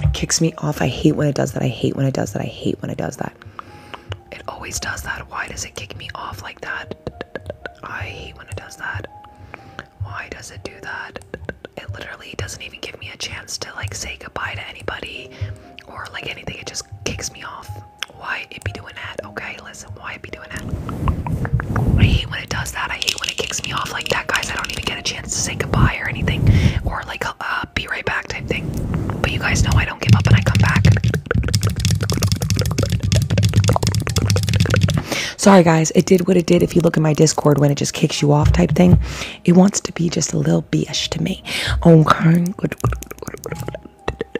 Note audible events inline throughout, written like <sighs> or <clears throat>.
It kicks me off. I hate when it does that. I hate when it does that. I hate when it does that. It always does that. Why does it kick me off like that? I hate when it does that. Why does it do that? It literally doesn't even give me a chance to like say goodbye to anybody or like anything. It just kicks me off. Why it be doing that? Okay, listen, why it be doing that? I hate when it does that. I hate when it kicks me off like that, guys. I don't even get a chance to say goodbye or anything, or like be right back type thing. But you guys know I don't give up and I come back. Sorry, guys, it did what it did. If you look in my Discord when it just kicks you off type thing, it wants to be just a little bish to me. Okay,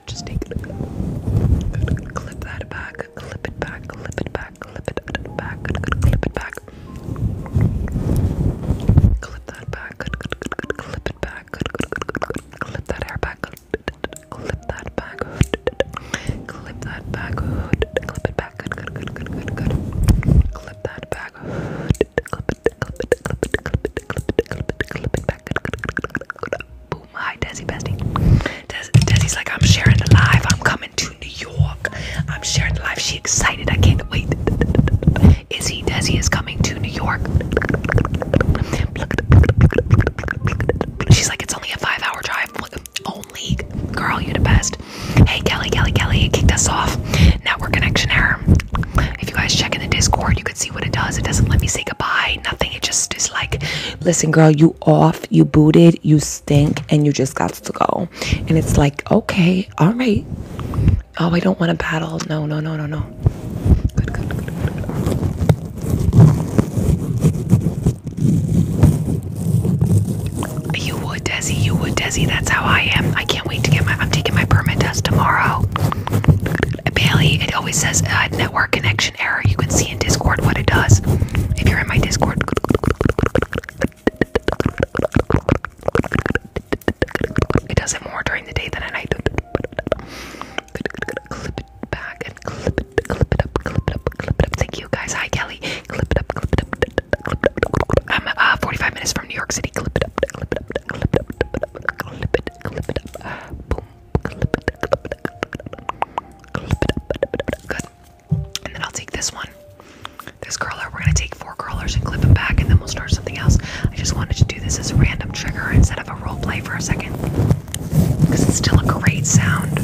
just take it. Clip that back, clip it back, clip it back back, clip it back, clip it back. Clip that back, clip it back, clip that hair back, clip that back, clip that back, clip it back, clip that back, clip it, clip it, clip it, clip it, clip it, clip it, clip it back. Boom! Hi, Desi Bestie. Desi's like, I'm sharing the live. I'm coming to New York. I'm sharing life. She excited. I can't wait. Is Izzy Desi is coming to New York. She's like, it's only a five-hour drive. Only girl, you the best. Hey Kelly, Kelly, Kelly kicked us off. Network connection error. If you guys check in the Discord, you could see what it does. It doesn't let me say goodbye. Nothing. It just is like, listen, girl, you off, you booted, you stink, and you just got workouts to go. And it's like, okay, all right. Oh, I don't want to battle. No, no, no, no, no. Good, good, good, good. You would, Desi. You would, Desi. That's how I am. I can't wait to get my. I'm taking my permit test tomorrow. Bailey, it always says uh, network connection error. You can see in Discord what it does. If you're in my Discord, it does it more during the day than at night. Clip it back and clip it, clip it up, clip it up, clip it up. Thank you guys. Hi Kelly. Clip it up, clip it up, clip it up. I'm uh, 45 minutes from New York City. Clip it up, clip it up, clip it up, clip it, clip it up. Boom, clip it, clip it, clip it up. Clip it up. Good. And then I'll take this one, this curler. We're gonna take four curlers and clip them back, and then we'll start something else. I just wanted to do this as a random trigger instead of a role play for a second, because it's still a great sound.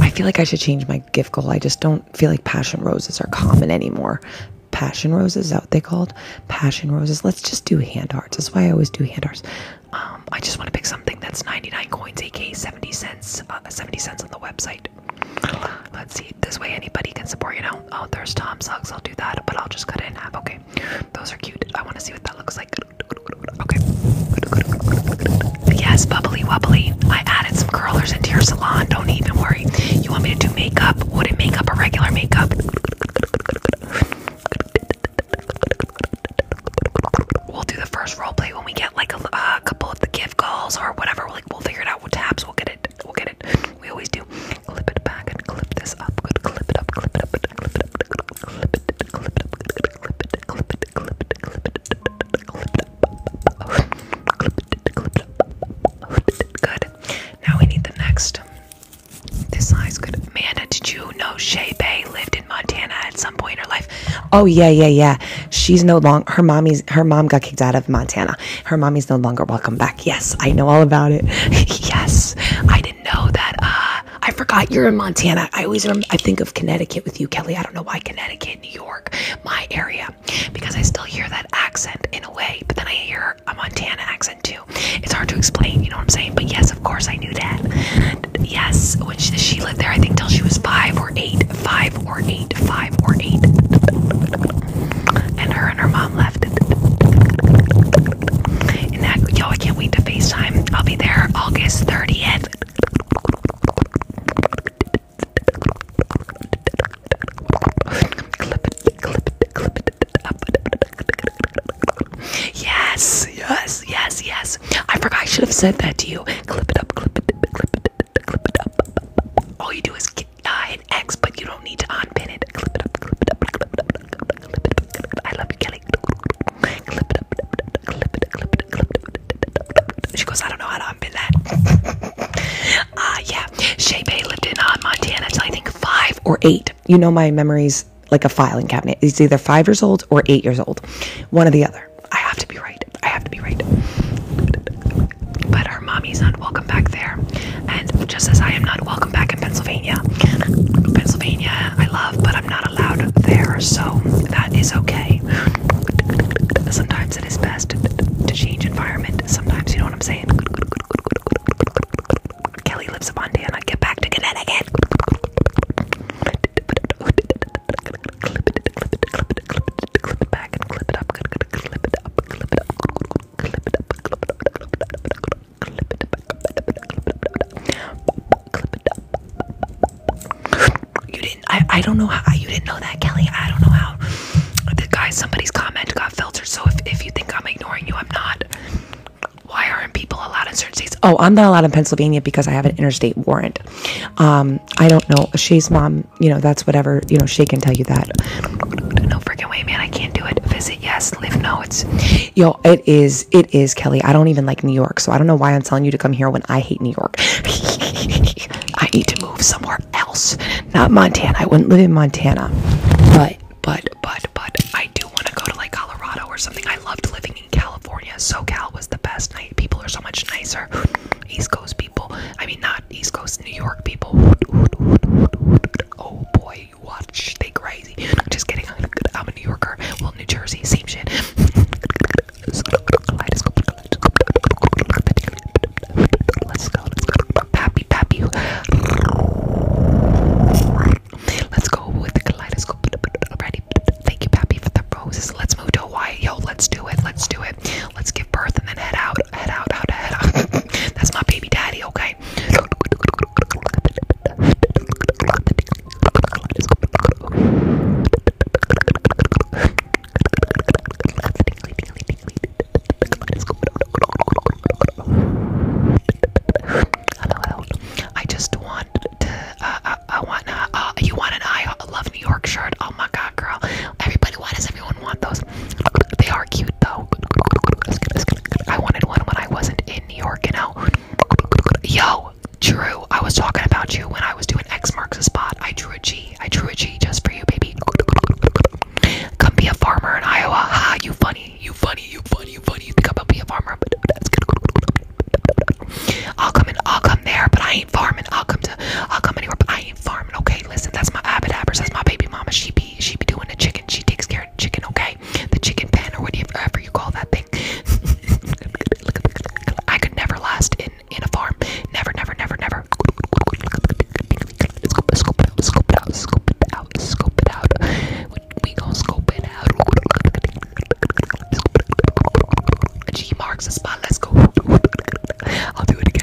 I feel like I should change my gift goal. I just don't feel like passion roses are common anymore. Passion roses, is what they called? Passion roses. Let's just do hand arts. That's why I always do hand arts. Um, I just want to pick something that's 99 coins, aka 70 cents, uh, 70 cents on the website. Let's see. This way anybody can support, you know. Oh, there's Tom Socks. I'll do that, but I'll just cut it in half. Okay. Those are cute. I want to see what that looks like. Okay. Yes, bubbly wubbly. I added some curlers into your salon. Don't even worry. You want me to do makeup? Would it make up a regular makeup? We'll do the first role play when we get like a uh, couple of the gift calls or whatever. Like we'll figure it out it out with tabs. We'll get it. We'll get it. We always do. Clip it back and clip this up. Good. Clip it up. Clip it up. Clip it up. Clip it. Clip it up. Clip it. Clip it. Clip it. Clip it. Clip it up. Clip it. Clip it up. Good. Now we need the next. This size good. Amanda, did you know Shay Bay lived in Montana at some point in her life? Oh yeah, yeah, yeah she's no longer her mommy's her mom got kicked out of Montana. Her mommy's no longer welcome back. Yes, I know all about it. <laughs> yes, I didn't know that. Uh, I forgot you're in Montana. I always remember, I think of Connecticut with you, Kelly. I don't know why Connecticut, New York, my area, because I still hear that accent in a way, but then I hear a Montana accent too. It's hard to explain, you know what I'm saying? But yes, of course, I knew that. Yes, when she lived there, I think till she was five or eight five or eight, five or eight. And her and her mom left. And that, yo, I can't wait to FaceTime. I'll be there August 30th. Yes, yes, yes, yes. I forgot I should have said that to you. Clip it up, clip it, clip clip it up. All you do is get, uh, X, but you don't need to unpin it. I love you, Kelly. She goes, I don't know how to unpin that. uh, yeah, Shea Bay lived in uh, Montana till I think five or eight. You know my memories like a filing cabinet. It's either five years old or eight years old, one or the other. I have to be right. I have to be right. But her mommy's not welcome back there. And just as I am not welcome back in Pennsylvania, Pennsylvania I love, but I'm not allowed there, so that is okay. Sometimes it is best to change environment. Sometimes, you know what I'm saying? Kelly lives in Monday and I get back to Connecticut clip it, clip it, clip it, clip it, clip it back and clip it up, clip it, clip it up, clip it up, clip it up, clip it up, clip it up, clip it back, clip it up. You didn't. I. I don't know how you didn't know that, Kelly. I don't know how. The guy, somebody's comment got filtered. So if if you think I'm ignoring you, I'm not. Why aren't people allowed in certain states? Oh, I'm not allowed in Pennsylvania because I have an interstate warrant. Um, I don't know. She's mom you know, that's whatever, you know, she can tell you that. No freaking way, man. I can't do it. Visit, yes. Live, no. It's, yo, it is, it is, Kelly. I don't even like New York. So I don't know why I'm telling you to come here when I hate New York. <laughs> I need to move somewhere else. Not Montana. I wouldn't live in Montana. But, but, but, but, I do want to go to like Colorado or something. I loved living in California. SoCal was the best night. People are so much nicer. East Coast people. I mean, not East Coast New York people. Oh boy, you watch, they crazy. I'm Just kidding, I'm a New Yorker. Well, New Jersey, same shit. Let's go, let's go. Pappy, pappy. Let's go with the kaleidoscope. Ready? Thank you, pappy, for the roses. Let's move to Hawaii. Yo, let's do it. Let's do it. Let's give birth and then head out head out, out, head out. <laughs> That's my baby daddy, okay? I just want to. Uh, uh I, want. Uh, uh, you want an I Love New York shirt? Oh my God, girl! Everybody, why does everyone I not want those. They are cute though. I wanted one when I wasn't in New York, you know. Yo, Drew, I was talking about you when I was doing X marks the spot. I drew a G. I drew a G just for you, baby. Come be a farmer in Iowa. Ha, you funny, you funny, you funny, you funny. You think i am gonna be a farmer, but that's good. I'll come in, I'll come there, but I ain't farming. I'll come to, I'll come anywhere, but I being farming. Okay, listen, that's my abadabbers. That's my baby mama. She be she be doing the chicken. She takes care of the chicken. Okay, the chicken pen or whatever you call that thing. <laughs> I could never last in in a farm. Never, never, never, never. Scope it, scope it out. Scope it out. Scope it out. Scope it out. We gon' scope it out. G marks the spot. Let's go. I'll do it again.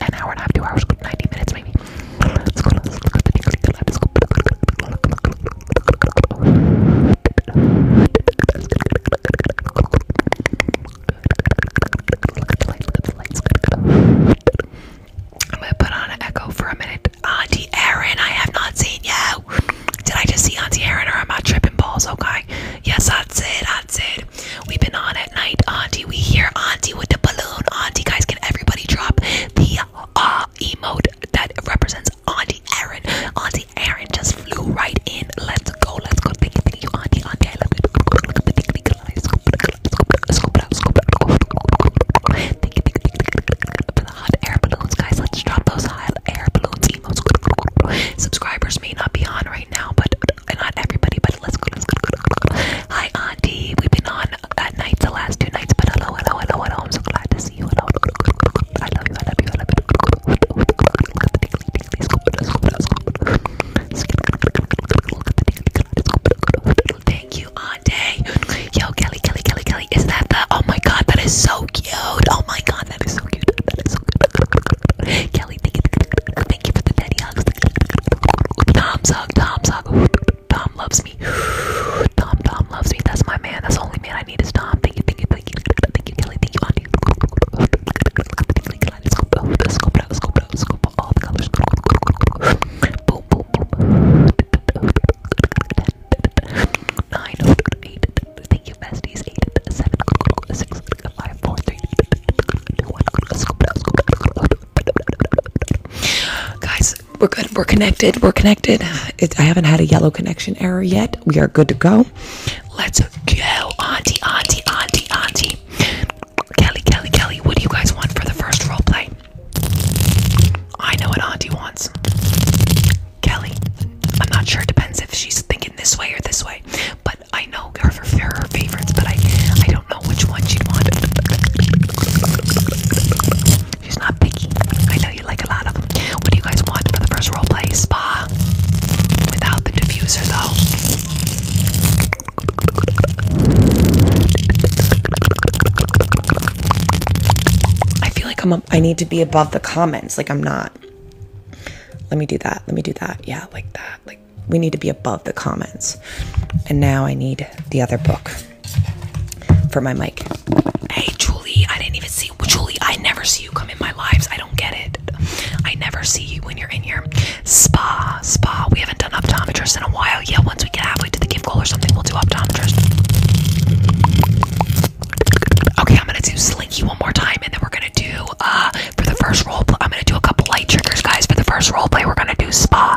an hour and a half, two hours, 90 minutes maybe. I'm gonna put on an echo for a minute. Auntie Erin, I have not seen you. Did I just see Auntie Erin or am I tripping balls? Okay. Yes, that's it. That's it. We've been on it at night, Auntie. We hear Auntie with the balloon. Auntie, guys, can everybody drop the uh emote that represents Auntie Erin? Auntie Erin just flew right in. Let's go, let's go. Thank you, thank you, Auntie, Auntie. I love you. Thank you, thank you, for the hot air balloons, guys. Let's drop those hot air balloons emotes. Subscribers may not be on right now, but not everybody. But let's go, let's go. Hi, Auntie. We've been on that night, the last two nights. But hello, hello, hello, hello. I'm so glad to see you. Hello, I love you. I love you. I love you. Thank you, Auntie. Yo, Kelly, Kelly, Kelly, Kelly. Is that the? Oh my God, that is so cute. Oh my God, that is so cute. That is so cute. Kelly, thank you, for the daddy hugs. Tom's hug, Tom's hug. Tom loves me. <sighs> Tom, Tom loves me. That's my man. That's the only man I need is Tom. Thank you, thank you, thank you, thank you, Kelly, thank you, Auntie. Let's go, let's go, let's go, let's go, all the colors. Boom, boom, boom. Nine, eight. Thank you, besties. Eight, seven, six, five, four, three, two, one. Let's go, let's go, let's go. Guys, we're good. We're connected. We're connected. I haven't had a yellow connection error yet. We are good to go. Let's go, auntie, auntie, auntie, auntie. Kelly, Kelly, Kelly, what do you guys want for the first role play? I know what auntie wants. Kelly, I'm not sure. It depends if she's thinking this way or this way. But I know her, her favorites, but I, I don't which one she want. She's not picky. I know you like a lot of them. What do you guys want for the first roleplay? Spa. Without the diffuser though. I feel like I'm up, I need to be above the comments. Like I'm not. Let me do that. Let me do that. Yeah, like that. Like we need to be above the comments. And now I need the other book for my mic. Hey, Julie, I didn't even see you. Julie, I never see you come in my lives. I don't get it. I never see you when you're in here. Spa, spa. We haven't done optometrist in a while. Yeah, once we get halfway to the give goal or something, we'll do optometrist. Okay, I'm gonna do slinky one more time, and then we're gonna do uh for the first role. I'm gonna do a couple light triggers, guys. For the first role play, we're gonna do spa.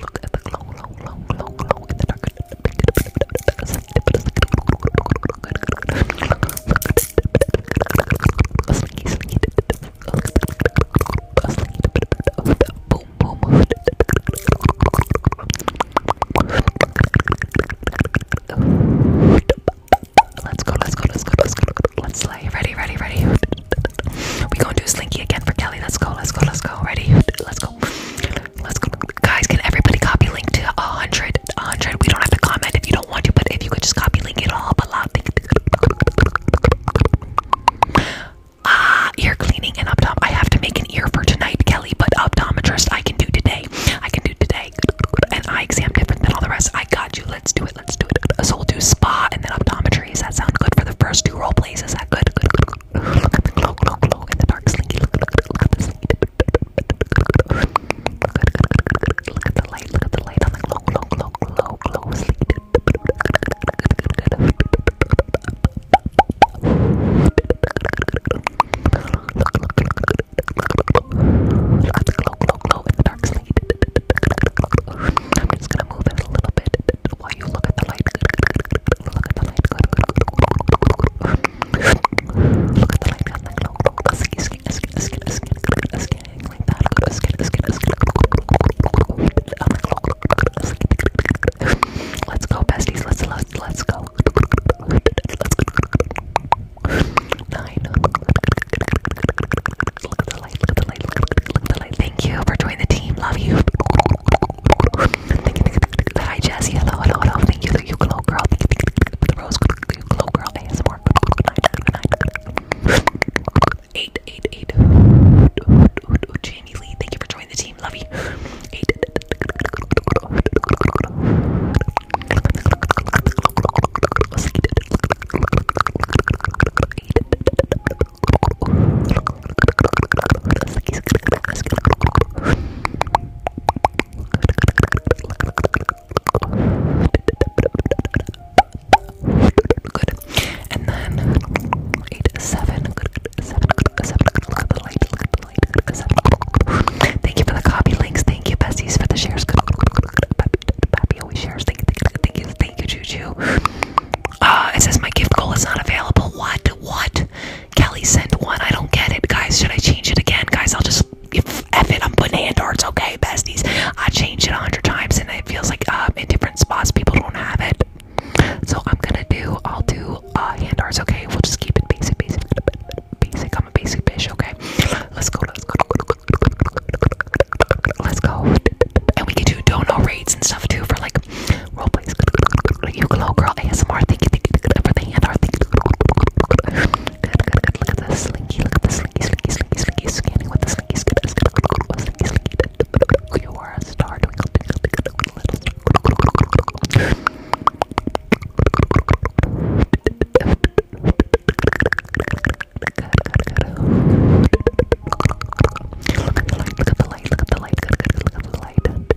Look at the glow, glow, glow, glow, glow in the dark. Slinky, slinky. Boom, boom. Let's go, let's go, let's go, let's go. Let's slay. Ready, ready, ready. We're gonna do slinky again for Kelly. Let's go, let's go, let's go. Ready? Let's Let's go. Guys, can everybody copy link to 100? 100. We don't have to comment if you don't want to, but if you could just copy link it all, Ah, ear cleaning and optom. I have to make an ear for tonight, Kelly, but optometrist I can do today. I can do today. And I exam different than all the rest. I got you. Let's do it. Let's do it. A soul to spa and then optometry. Does that sound good for the first two role plays? Is that good. Look at the glow, glow, glow in the dark slinky. Look, look, look, look at the slinky. Look at the light, look at the light on the glow, glow, glow, glow, glow, slinky. Look, look, look, look at the glow, glow, glow in the dark slinky. I'm just gonna move it a little bit it while you look at the light. Look at the light. Good, good, good. Look at the light. Good, like, look, look. Skin, skin, skin, skin, skin, skin, skin, like that. Good, skin, skin, skin. I'm like, look, look, look, skin. Let's go, besties. Let's, let's, let's go. Let's go. Nine. Look at the light. Look at the light. Look at the light. Thank you for joining the team. Love you. Hi Jesse, hello, hello, hello. Thank you, you glow girl. Thank you, the rose, you glow girl. ASMR. Eight, eight, eight. Jamie Lee, thank you for joining the team. Love you. Eight. Eight. And then eight seven. Good, Thank you for the copy links. Thank you, besties, for the shares. Good, good, good, always shares. Thank you, thank you, thank you, thank you, Juju. Uh, it says my gift goal is not available. What? What? Kelly sent one. I don't get it, guys. Should I change it again, guys? I'll just F it. I'm putting hand arts, okay, besties. I changed it a hundred times, and it feels like um, in different spots people don't have it. So I'm gonna do. I'll do uh, hand arts, okay. We'll just keep it basic, basic, basic. I'm a basic bitch, okay. Let's go. Let's go. Let's go. And we can do dono rates and stuff too for like Role plays. You girl ASMR. Thank you, thank you, thank you Good, Look at the slinky. Look at the slinky, slinky, slinky, slinky. Scanning with the slinky, slinky, slinky, slinky. You are a star. Twinkle, twinkle, twinkle, little Look at the light. Look at the light. Look at the light. Look at the light.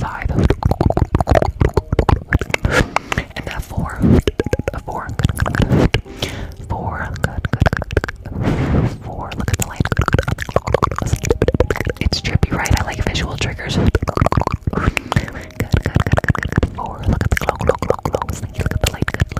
Five. And then a four. A four. Four. Good, good, Four. Look at the light. It's trippy, right? I like visual triggers. Good, good, good, good, good. Four. Look at the glow, glow, glow, glow. Look at the light. Good.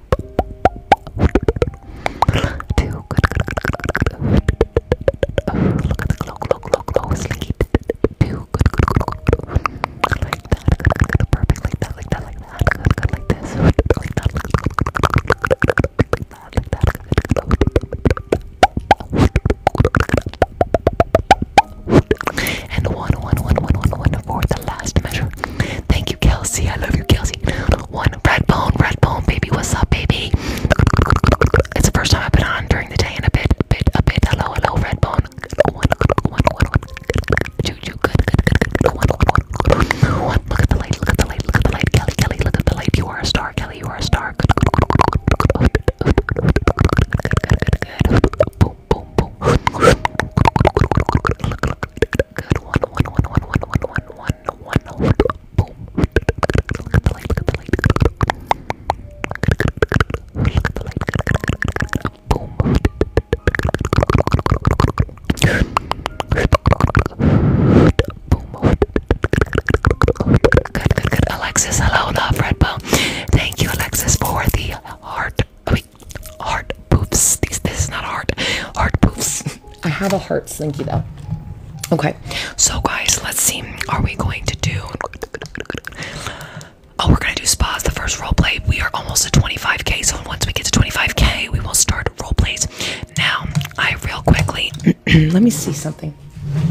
Two. Good, good, good, good, good. Oh, look at the glow, glow, glow, glow. Sleep. Two. Good, good, good, good. Like that. Good, good, good. Perfect. Like that, like that, like that. Good, good. Like this. Like that. Like that. Like that. Like that. And one, one, one, one, one, one for the last measure. Thank Thank you, Kelsey. I love you, Kelsey. One red bone, red bone, baby. What's up, baby? It's the first time I've been on during the day in a bit, a bit, a bit. Hello, hello, red bone. One, one, one, one. Choo choo, good, good, good, good. One, one, one, one. Look at the light, look at the light, look at the light, Kelly, Kelly. Look at the light. You are a star, Kelly. You are a star. Good, good, good, good, good, good, good. Boom, boom, boom. Look, look, good one, one, one, one, one, one, one, one, one, one, boom. Look at the light, look at the light. Look at the light. Boom. Boom. Good, good, good. Alexis, hello, love, red bone. Thank you, Alexis, for the heart. I mean, heart poofs. These, this is not heart. Heart poofs. <laughs> I have a heart slinky though. Okay, so guys, let's see. Are we going to do? Oh, we're gonna do spas. The first role play. We are almost at 25k. So once we get to 25k, we will start role plays. Now, I real quickly. <clears throat> let me see something.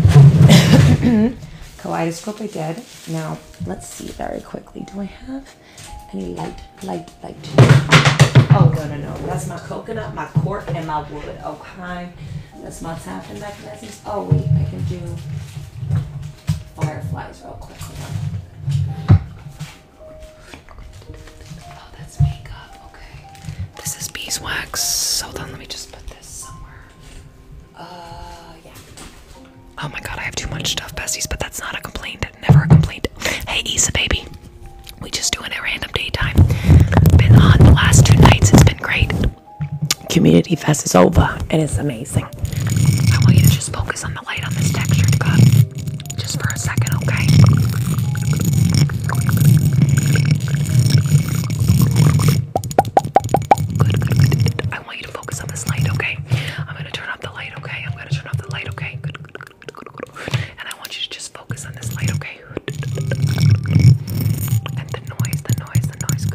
<coughs> Kaleidoscope. I did. Now, let's see very quickly. Do I have? I need light, light, light. Oh, no, no, no. That's my coconut, my cork, and my wood. Okay. That's my tapping mechanisms. Oh, wait, I can do fireflies real quick. Oh, that's makeup. Okay. This is beeswax. Hold on, let me just put this somewhere. Uh, yeah. Oh my god, I have too much stuff, besties, but that's not a complaint never a complaint. Hey, Isa, baby. We just doing a random daytime. Been on the last two nights. It's been great. Community Fest is over, and it's amazing. I want you to just focus on the light on this textured cup, just for a second, okay? Good, I want you to focus on this light, okay? I'm gonna turn off the light, okay? I'm gonna turn off the light, okay? good. And I want you to just focus on this light, okay? And the noise, the noise, the noise.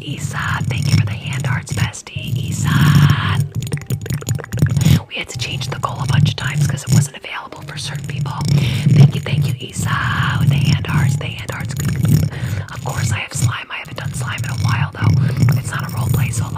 Isan, thank you for the hand hearts, bestie. Isan. We had to change the goal a bunch of times because it wasn't available for certain people. Thank you, thank you, Isa. the hand hearts, the hand hearts. Of course, I have slime. I haven't done slime in a while, though. It's not a role play, so a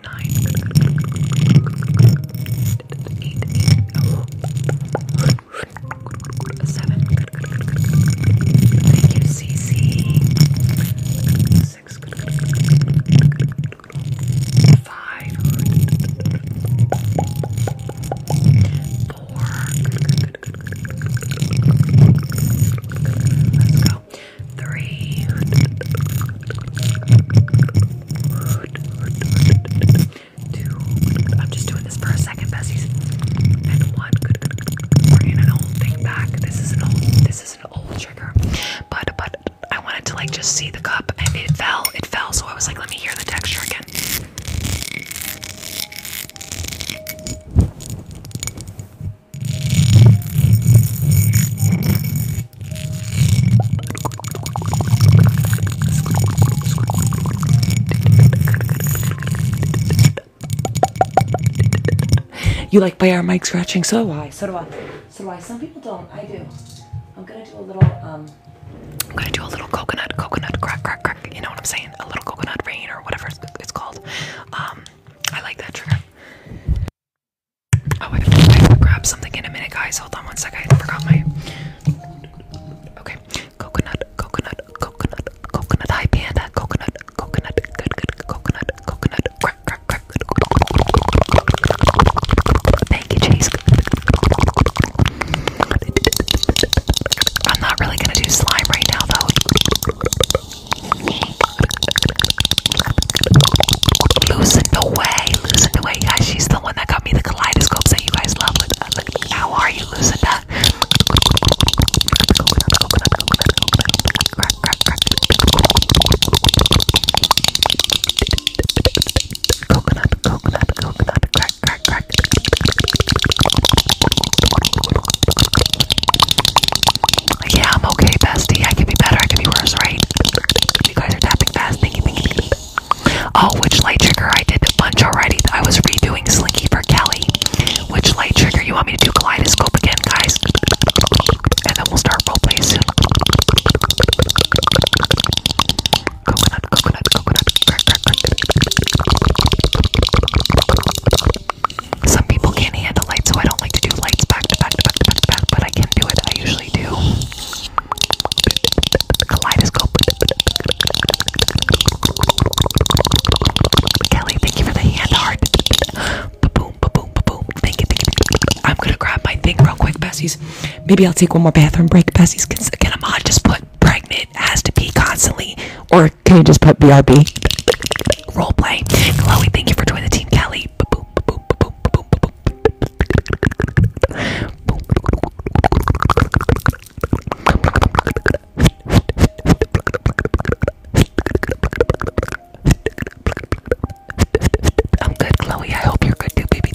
nine, eight, eight, oh, seven. Thank you, CC. Six, five, four. Let's go. Three, two. I'm just doing this for a second, besties. And one. Bringing an old thing back. This is an old. This is an old trigger. But but I wanted to like just see the cup, and it fell. It fell. So I was like, let me hear the texture again. You like by our mic scratching? So do I. So do I. So do I. Some people don't. I do. I'm gonna do a little um I'm gonna do a little coconut, coconut crack, crack, crack. You know what I'm saying? A little coconut rain or whatever it's called. Um, I like that trigger. Oh, I have to grab something in a minute, guys guys. Hold on one sec. I forgot my. Okay. Coconut, coconut, coconut, coconut. Hi, panda. Coconut, coconut, good, good, coconut, coconut. Crack, crack, crack. Thank you, Chase. I'm not really gonna do slime right now, though. Loosen away, loosen away. Guys, she's the one that got me the kaleidoscope that you guys love with uh, How Are You Lucinda? Coconut, coconut, coconut, crack, crack, crack. Yeah, I'm okay, bestie. I can be better, I can be worse, right? You guys are tapping fast. Thank you, thank Oh, which light trigger? I did a bunch already. I was redoing Slinky for Kelly. Which light trigger you want me to do? Kaleidoscope again, guys. And then we'll start roleplay soon. Coconut, coconut, coconut. Some people can't handle lights, so I don't like to do lights back to back to back to back, but I can do it. I usually do. Kaleidoscope. Kelly, thank you for the hand heart. Boom, boom, boom. Thank you, thank you. I'm gonna grab my thing real quick, Bessies. Maybe I'll take one more bathroom break, Bessies. Can, I a just put pregnant has to be constantly, or can you just put BRB? Roleplay. Chloe, thank you for joining the team. Kelly, I'm good, Chloe. I hope you're good too, baby.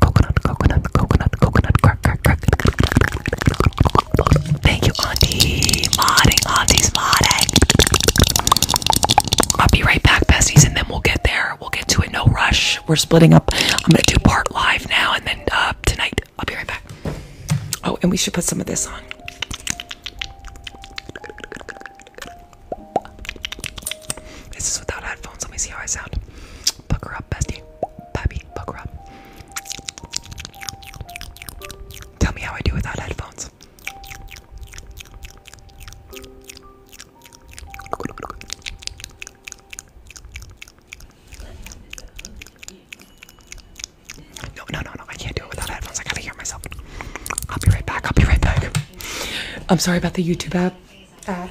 Coconut, coconut, coconut, coconut, crack, crack, crack. Thank you, Auntie. Modding, Auntie's modding. I'll be right back, besties, and then we'll get there. We'll get to it. No rush. We're splitting up. I'm gonna do part live now, and then uh, tonight. I'll be right back. Oh, and we should put some of this on. This is without headphones. Let me see how I sound. Buck her up, bestie. Puppy, buck her up. Tell me how I do without headphones. No, no, no, no, I can't do it without headphones. I gotta hear myself. I'll be right back. I'll be right back. I'm sorry about the YouTube app ad.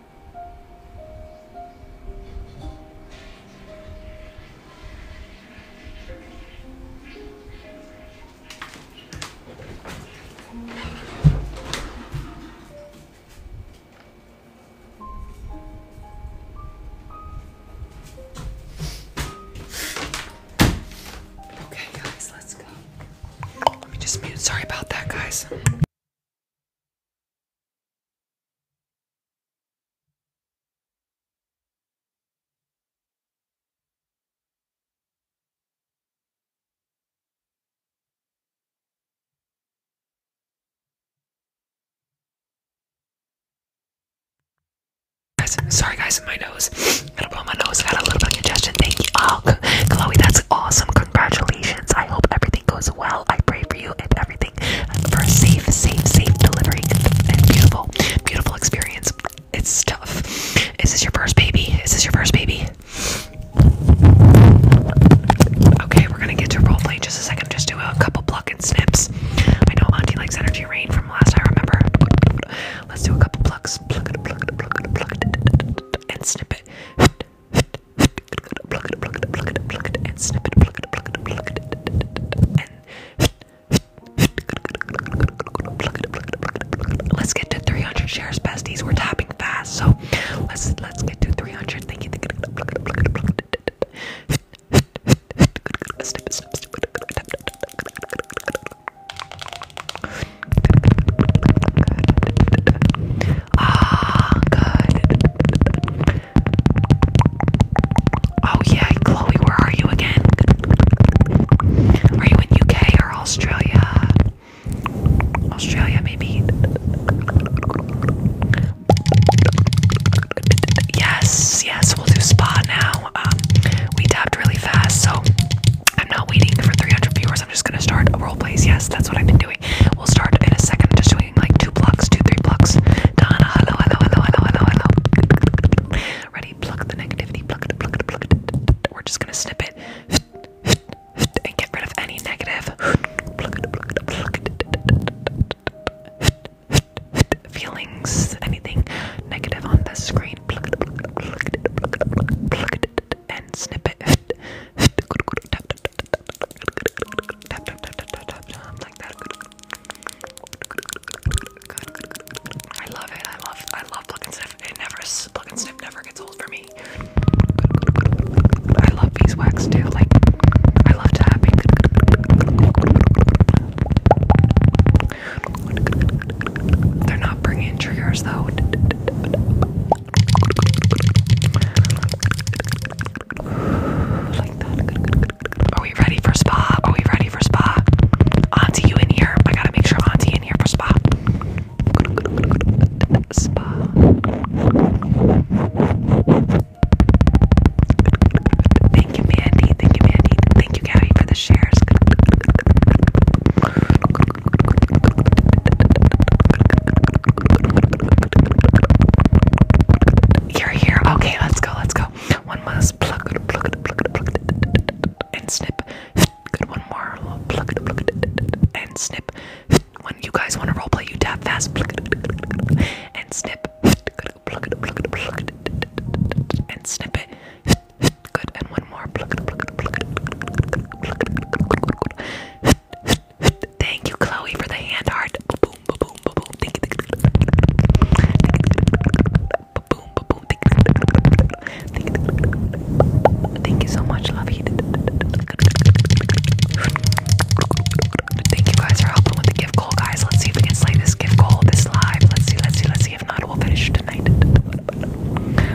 Okay, guys, let's go. Let me just mute. Sorry about that, guys. Sorry guys, my nose. Gotta blow my nose. I Got a little bit of congestion. Thank you. Chloe, that's awesome congratulations. I hope everything goes well. I pray for you and everything for a safe, safe, safe delivery and beautiful, beautiful experience. It's tough. Is this your first baby? Is this your first baby? Okay, we're gonna get to roll in just a second. Just do a couple pluck and snips. I know Auntie likes energy rain from last I remember. Let's do a couple plucks. Pluck pluck pluck pluck and snip it. Let's get to 300 shares, besties. We're tapping fast, so let's let's get to 300. Ah, good. Oh yeah, Chloe, where are you again? Are you in UK or Australia? Australia maybe. Yes, yes, we'll do spa now. Um, we tapped really fast, so I'm not waiting for 300 viewers. I'm just gonna start a role plays. Yes, that's what I've been doing. We'll start in a second. Just do doing like two blocks, two, three blocks. Donna, hello, hello, hello, hello, hello, hello. Ready? Pluck the negativity. Pluck it, pluck it, pluck it. We're just gonna snip it and get rid of any negative. Pluck it, pluck it, pluck it. Feelings, anything negative on the screen. Pluck it, pluck it, pluck it, pluck it, pluck it, and snip it. Tap, I love it. I love, I love Pluck and Sniff. It never, Pluck and Sniff never gets old for me. I love beeswax too. Like, I love tapping. They're not bringing triggers though. Are we ready for spa? Are we ready for spa? Auntie, you in here? I gotta make sure Auntie in here for spa. Thank you, Mandy. Thank you, Mandy. Thank you, Gabby, for the shares. You're here. Okay, let's go. Let's go. One must pluck, pluck, pluck, pluck, and snip. Good. One more. Pluck, pluck, and snip. When you guys want to roleplay, you tap fast. Pluck, and snip. Good. Pluck, pluck, pluck, and snip it. Good. And one more. Pluck, pluck, pluck, pluck, Thank you, Chloe, for the hand heart. Thank you. so much, Lovey. Thank you guys for helping with the gift goal, guys. Let's see if we can slay this gift goal this live. Let's see, let's see, let's see. If not, we'll finish tonight.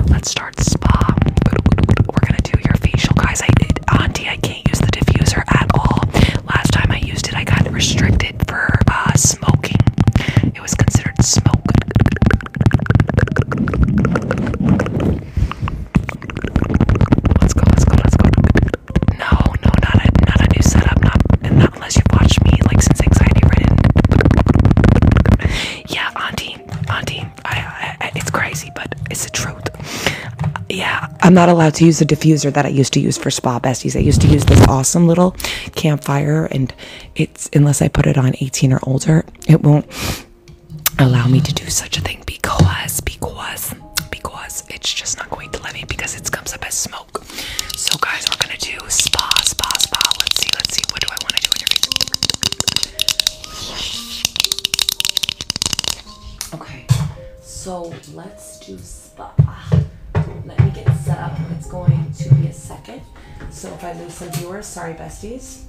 Let's start spa. We're gonna do your facial, guys. I Auntie, I can't use the diffuser at all. Last time I used it, I got restricted for uh, smoking. It was considered smoking. Let's go, let's go, let's go. No, no, not a, not a new setup. not unless you've watched me like since anxiety ridden. Yeah, auntie, auntie, it's crazy, but it's the truth. Yeah, I'm not allowed to use the diffuser that I used to use for spa besties. I used to use this awesome little campfire, and it's unless I put it on 18 or older, it won't allow me to do such a thing because because because it's just not going to let me because it comes up as smoke. So guys, we're gonna do spa, spa, spa. Let's see, let's see. What do I want to do in your Okay, so let's do spa. Let me get set up. It's going to be a second. So if I lose some viewers, sorry besties.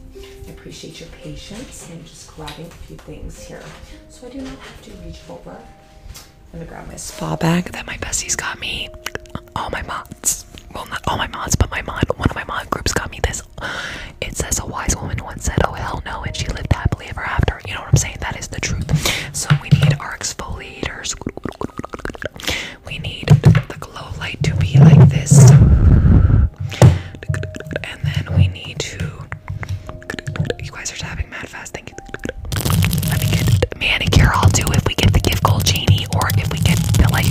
I appreciate your patience. I'm just grabbing a few things here. So I do not have to reach over. I'm gonna grab my spa bag that my besties got me. All my mods. Well, not all my mods, but my mod, one of my mod groups got me this it says a wise woman once said, "Oh hell no," and she lived happily ever after. You know what I'm saying? That is the truth. So we need our exfoliators. We need the glow light to be like this, and then we need to. You guys are tapping mad fast. Thank you. Let me get manicure. I'll do if we get the gift gold genie, or if we get the like,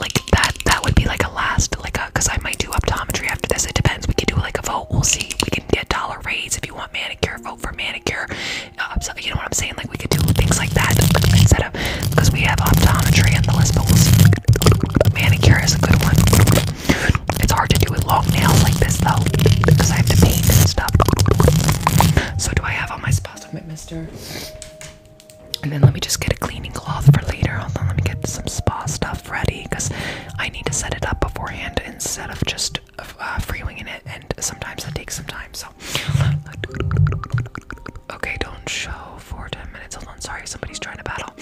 like that that would be like a last like a because I might do optometry after this. It depends. We can do like a vote. We'll see. We can get dollar raise if you want manicure. Vote for manicure. Um, you know what I'm saying? Like we could do things like that instead of because we have optometry on the list, but we'll see. Manicure is a good one. It's hard to do with long nails like this though because I have to paint and stuff. So do I have all my spa summit, Mister? And then let me just get a cleaning cloth for later. Hold on, let me get some spa stuff ready because I need to set it up beforehand instead of just uh, freewheeling it, and sometimes it takes some time. So, okay, don't show for 10 minutes. Hold on, sorry, somebody's trying to battle.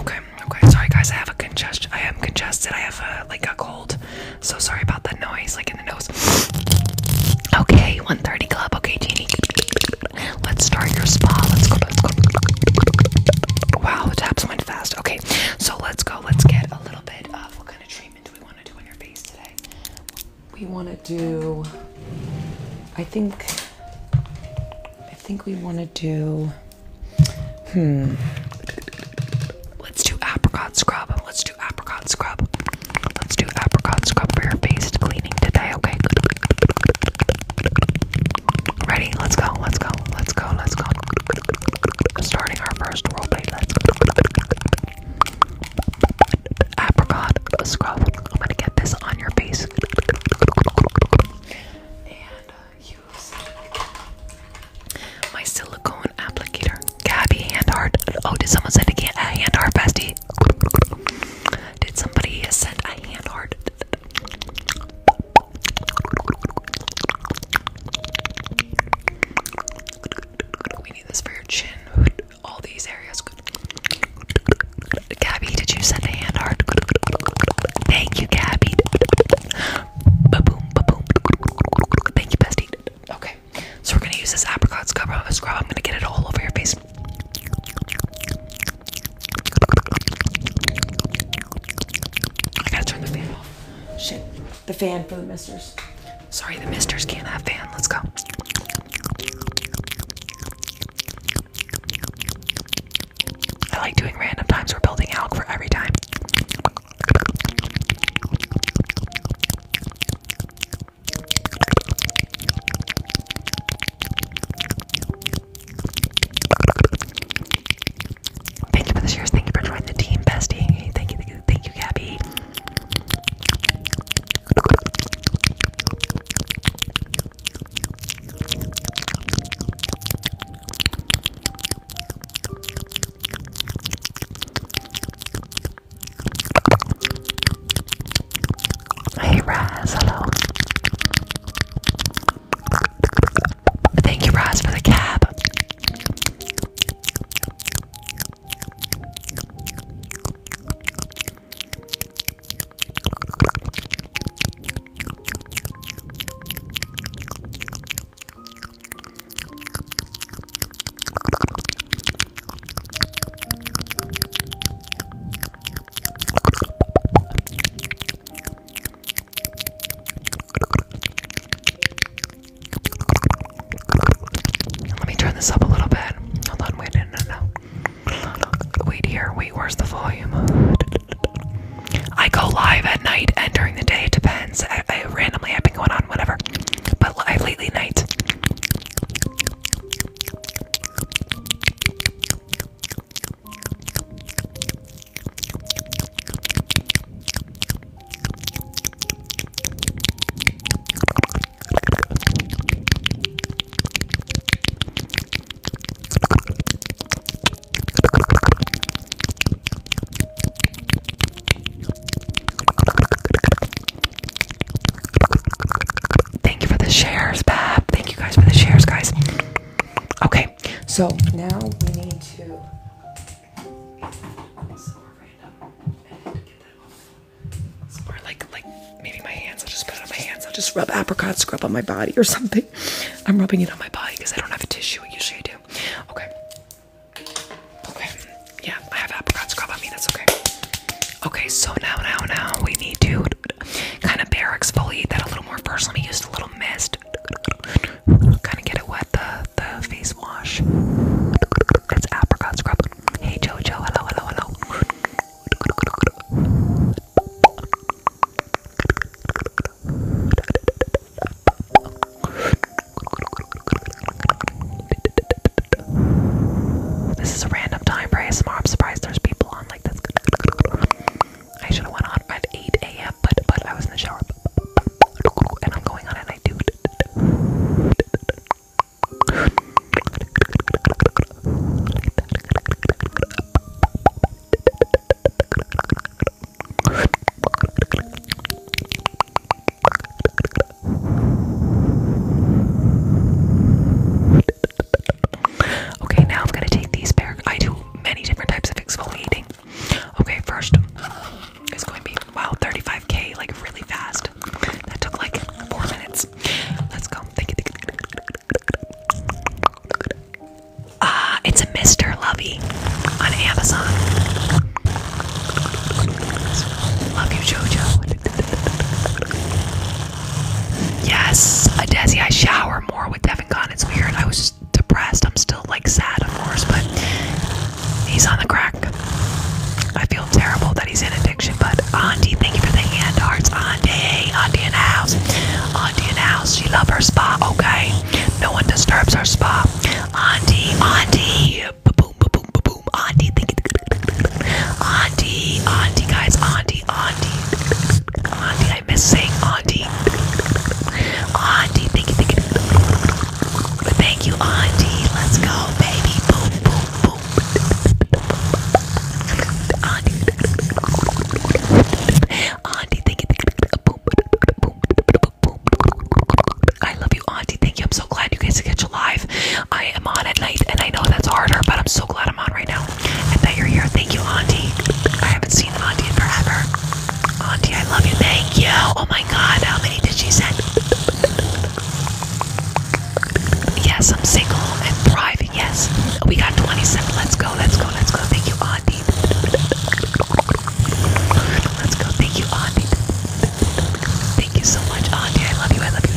Okay, okay, sorry guys, I have a congestion. I am congested. I have a, like a cold. So sorry about that noise, like in the nose. Okay, 130 club. Okay, Jeannie. Let's start your spa. Let's go. Let's go. Wow, the taps went fast. Okay, so let's go. Let's get a little bit of what kind of treatment do we want to do on your face today? We want to do. I think. I think we want to do. Hmm. Let's do apricot scrub. Let's do apricot scrub. Let's do apricot scrub for your face cleaning today, okay? Ready? Let's go. Let's go. Let's go. Let's go. Starting our first roleplay. Let's go. Apricot scrub. I'm gonna get this on your face. And use uh, my silicone applicator. Gabby hand art. Oh, did someone send a hand art bestie? Did somebody send a hand art? We need this for your chin. <laughs> All these areas. Gabby, did you send a hand heart? Thank you, Gabby. Thank you, bestie. Okay, so we're gonna use this apricot scrub. scrub. I'm gonna get it all over your face. I gotta turn the fan off. Shit. The fan for the misters. Sorry, the misters can't have fan. Let's go. I like doing random times. We're building alk for every time. Thank you for the shares. Thank you for joining the team, bestie. Thank you, thank you, thank you, Gabby. Hey Raz, hello. Thank you, Ross, for the cab. Let me turn this up a little bit. Hold on, wait, no, no, no. Wait here, wait, where's the volume? I go live at night and during the day, it depends. I, randomly I've been going on whatever, but live lately night. Thank you for the shares, Bab. Thank you guys for the shares, guys. Okay, so now we need to. like like maybe my hands. I'll just put it on my hands. I'll just rub apricot scrub on my body or something. I'm rubbing it on my body because I don't have a tissue. Usually I do. Okay. Okay. Yeah, I have apricot scrub on me. That's okay. Okay, so now, now, now we need to kind of bare exfoliate that a little more first. Let me use a little mist Kind of get it wet, the, the face wash. It's apricot scrub. Hey Jojo, hello, hello, hello. This is a random time for ASMR. I'm surprised there's people on like this. I should have went on at 8 a.m. but but I was in the shower and I'm going on at night dude. Okay, now I'm gonna take these pair. I do many different types of exfoliating. Okay, first it's going to be wow, 35k, like really fast. That took like four minutes. Let's go. Ah, it's a Mr. Lovey on Amazon. Love you, JoJo. Yes, Desi, I shower more with Devin Con. It's weird. I was depressed. I'm still like sad, of course, but he's on the crack. I feel terrible that he's in addiction, but Auntie, thank you for the hand hearts. Auntie, Auntie in the house. Auntie in the house. She love her spa, okay? No one disturbs her spa. Auntie, Auntie. Ba-boom, ba-boom, ba-boom. Auntie, thank you. Auntie, Auntie, guys. Auntie, Auntie. Auntie, I miss saying auntie. Auntie, thank you, thank you. auntie. Let's go, baby. Auntie. Auntie, thank you, thank you. I love you, auntie. Thank you. I'm so glad you guys catch a live. I am on at night, and I know that's harder, but I'm so glad I'm on right now and that you're here. Thank you, Auntie. I haven't seen Auntie in forever. Auntie, I love you. Thank you. Oh my God, how many did she send? Yes, I'm single and thriving. Yes, we got 27. Let's go. Let's go. Let's go. Thank you, Auntie. Let's go. Thank you, Auntie. Thank you so much, Auntie. I love you. I love you.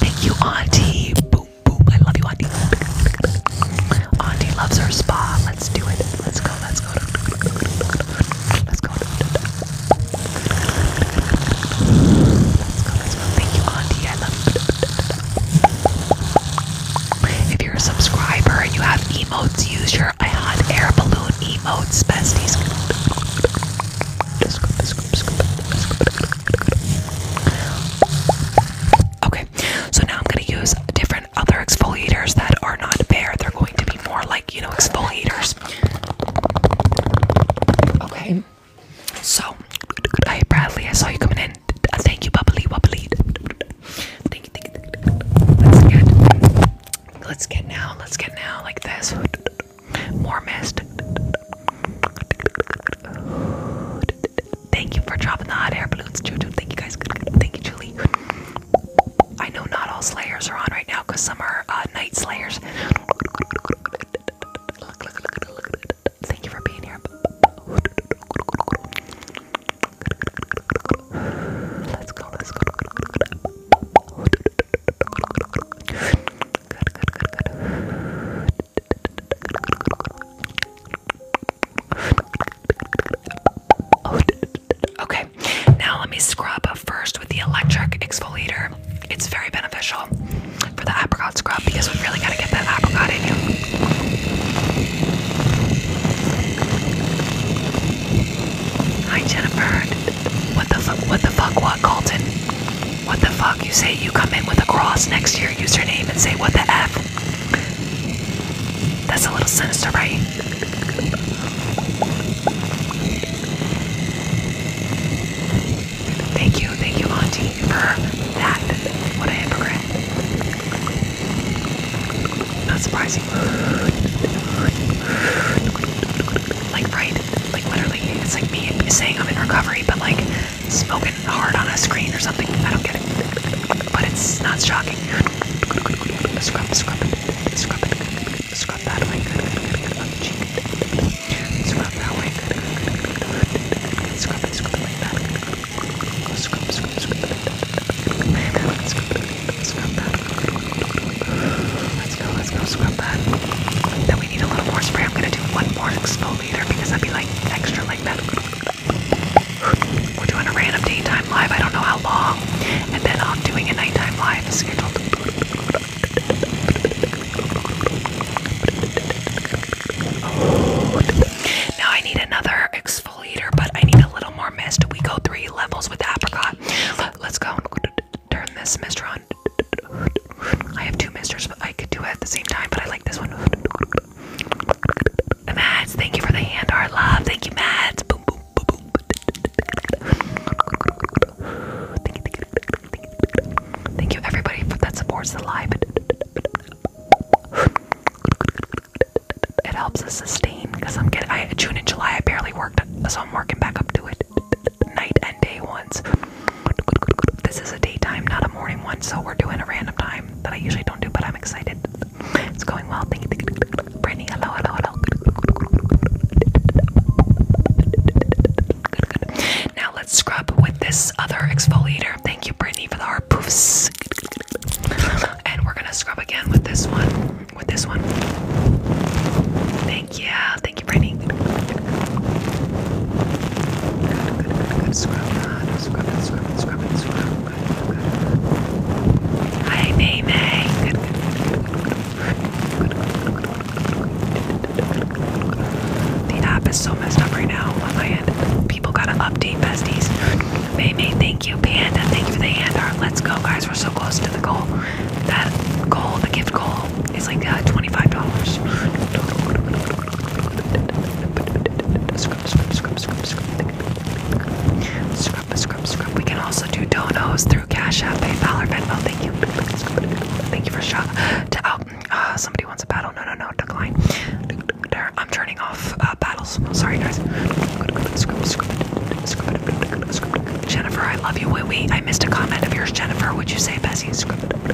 Thank you, Auntie. Boom, boom. I love you, Auntie. Auntie loves her spa. Let's do it. Let's go. Let's go. Let's go. Let's go. Let's go. Thank you, Auntie. I love If you're a subscriber and you have emotes, use your hot air balloon emotes, besties. Okay, so now I'm going to use different other exfoliators that are not bare. They're going to be more like, you know, exfoliators. Okay, so, hey Bradley, I saw you coming in. Uh, thank you, bubbly, bubbly. thank you. Let's get, let's get now, let's get now, like this. More mist. Thank you for dropping the hot air balloons, Jojo. Thank you guys. Thank you, Julie. I know not all Slayers are on right now because some are uh, Night Slayers. Thank you for being here. Let's go, let's go okay, now let me scrub first with the electric exfoliator. It's very beneficial for the apricot scrub because we really gotta get that apricot in you. Hi, Jennifer. What the fuck? What the fuck? What, Colton? What the fuck? You say you come in with a cross next to your username and say, what the F? That's a little sinister, right? Thank you, thank you, Auntie, for that. What a hypocrite. Not surprising like right, like literally, it's like me saying I'm in recovery, but like smoking hard on a screen or something. I don't get it, but it's not shocking. Scrub, scrub, scrub, scrub that way. Good, good, good, good. On the cheek. Scrub that way. Good, good, good, good, good. Scrub it, scrub it like that. Go scrub, scrub, scrub. Scrub, scrub, scrub that let's go, let's go scrub that. Then we need a little more spray. I'm gonna do one more exfoliator because I'd be like extra like that. We're doing a random daytime live, I don't know how long, and then I'm doing a nighttime live Now I need another exfoliator, but I need a little more mist. We go three levels with apricot. Let's go turn this mister on. I have two misters, but I could do it at the same time, but I like this one. Mads, thank you for the hand art love. Thank you, Mads. Thank you, everybody, for that supports the live. It helps us sustain because I'm getting. I June and July I barely worked, so I'm working back up to it night and day ones. This is a daytime, not a morning one, so we're doing a random time that I usually don't do, but I'm excited. It's going well. Brittany. Hello, hello, hello. Now let's scrub with this other exfoliator. Thank you, Brittany, for the hard poofs. And we're gonna scrub again with this one. With this one. Yeah, Thank you, Brittany. Good, good, good, good. Scrub that. Good, good, Hi, May The app is so messed up right now on my end. People gotta update besties. May thank you. Panda, thank you for the hand art. Let's go, guys. We're so close to the goal. That goal, the gift goal. It's like uh, twenty-five dollars. Scrub, We can also do donos through Cash App, PayPal, or Venmo. Thank you. Thank you for shop. To oh, somebody wants a battle. No, no, no. Decline. I'm turning off uh, battles. Sorry, guys. Jennifer, I love you. Wait, wait, I missed a comment of yours, Jennifer. Would you say Bessie?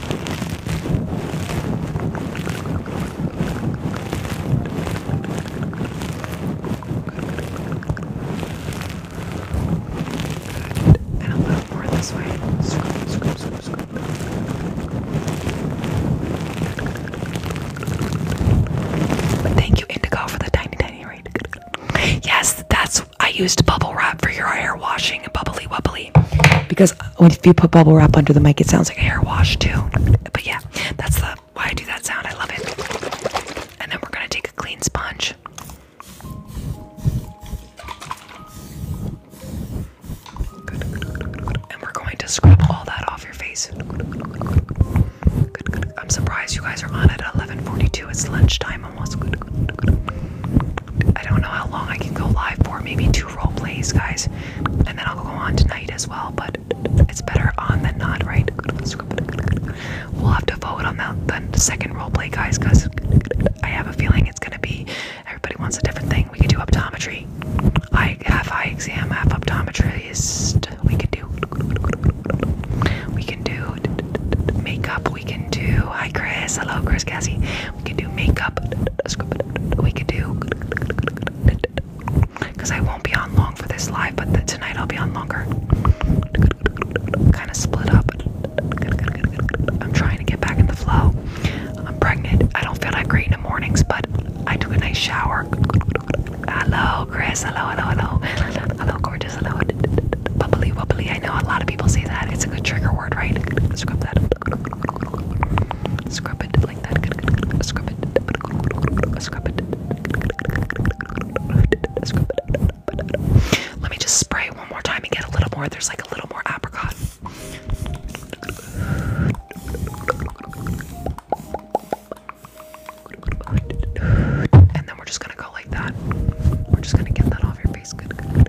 And a little more this way. Scoop, scoop, scoop, scoop. thank you, Indigo, for the tiny, tiny rate. Yes, that's I used bubble wrap for your hair washing, bubbly, wobbly because if you put bubble wrap under the mic, it sounds like a hair wash too. But yeah, that's the why I do that sound. I love it. And then we're gonna take a clean sponge. And we're going to scrub all that off your face. I'm surprised you guys are on at 11:42. It's lunchtime almost. I don't know how long I can go live for. Maybe two role plays, guys, and then I'll go on tonight as well. But it's better on than not, right? We'll have to vote on that the second role play, guys, because I have a feeling it's gonna be everybody wants a different thing. We could do optometry. I half eye exam, half optometrist. We could do. We can do makeup. We can do hi Chris. Hello Chris Cassie. We can do makeup. We can do because I won't be on long for this live, but tonight I'll be on longer. Kind of split up. I'm trying to get back in the flow. I'm pregnant. I don't feel that great in the mornings, but I took a nice shower. Hello, Chris. Hello, hello, hello. Hello, gorgeous. Hello. Bubbly, bubbly. I know a lot of people say that. It's a good trigger word, right? Scrub that. Scrub it like that. Scrub it. Scrub it. Scrub it. Let me just spray one more time and get a little more. There's like a little more apricot. And then we're just gonna go like that. We're just gonna get that off your face. Good, good,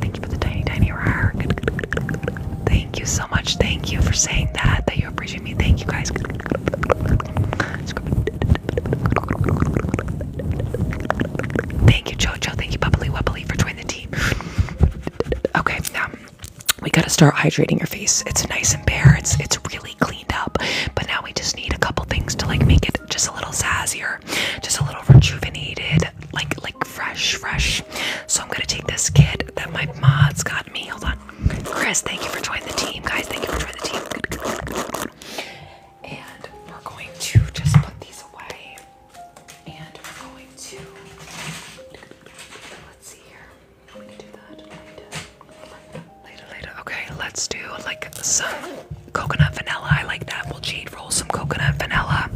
Thank you for the tiny, tiny roar. Thank you so much. Thank you for saying that, that you appreciate me. Thank you guys. Thank you, Jojo. Thank you, Bubbly Wubbly, for joining the team. Okay, now um, we gotta start hydrating your face. It's nice and bare. It's it's really clean up. But now we just need a couple things to like make it just a little sassier, just a little rejuvenated, like like fresh, fresh. So I'm gonna take this kit that my mods got me. Hold on. Chris, thank you for joining the team, guys. Thank you for joining the team. And we're going to just put these away. And we're going to let's see here. I'm to do that. Okay, let's do like some coconut vanilla. I like that. We'll jade roll some coconut vanilla.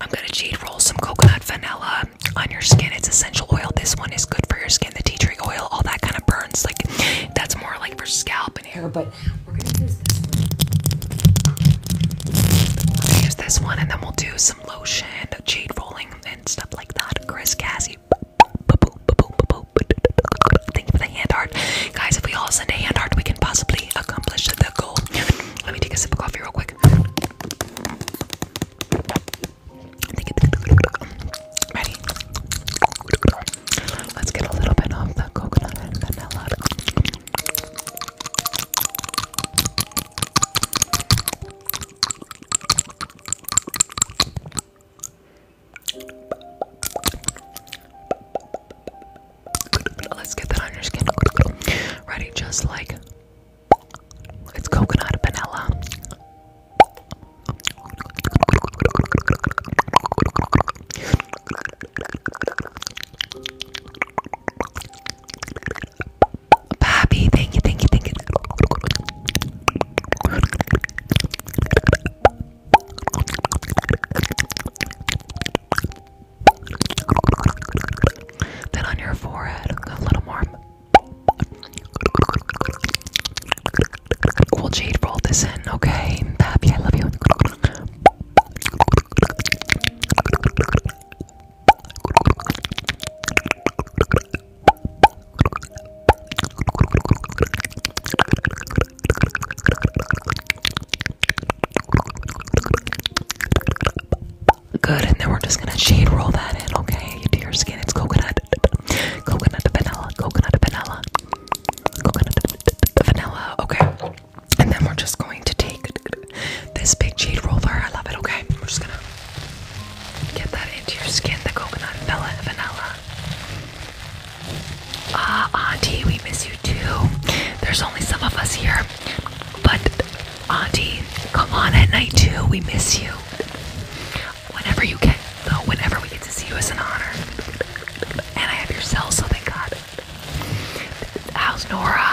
I'm gonna jade roll some coconut vanilla on your skin. It's essential oil. This one is good for your skin. The tea tree oil, all that kind of burns. Like that's more like for scalp and hair. But we're gonna use this one. and then we'll do some lotion, jade rolling, and stuff like that. Chris Cassie. <laughs> Thank you for the hand heart. Guys, if we all send a hand art, we can possibly accomplish the goal. Let me take a sip of coffee real quick. Ready? Let's get a little bit of the coconut and vanilla. Let's get that on your skin. Ready? Just like it's coconut vanilla. Pappy, thank you, thank you, thank you. Then on your forehead, a little more. we jade roll this in, okay? Pappy, I love you. Good, and then we're just gonna shade roll that in, okay? Into your skin. It's coconut, coconut vanilla, coconut vanilla, coconut vanilla, okay? And then we're just going to take this big jade roller. I love it, okay? We're just gonna get that into your skin, the coconut vanilla, vanilla, Ah, Auntie, we miss you too. There's only some of us here. But, Auntie, come on at night too. We miss you. Whenever you can, though, whenever we get to see you is an honor. And I have your cell, so thank God. How's Nora?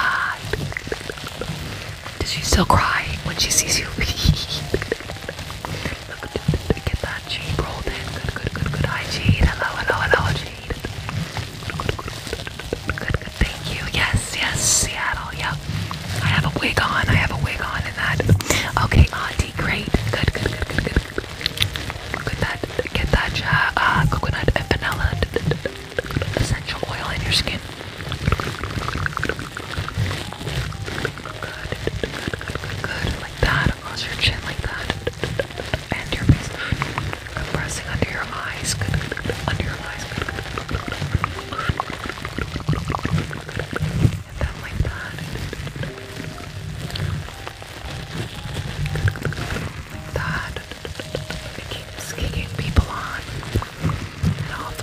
Does she still cry when she sees you? <laughs> Get that cheek rolled in. Good, good, good, good. Hi, Jade. Hello, hello, hello, Jade. Good, good, good, good, good. Thank you. Yes, yes, Seattle. Yep. I have a wig on. I have a wig on in that. Okay, Auntie, great. Good, good, good, good, good. Good that. Get that uh, coconut and vanilla essential oil in your skin. Good, good, good, good, good, good. Like that across your chin like that. And your face. Compressing under your eyes. Under your eyes. And then like that. Like that. It keeps kicking people on. And off.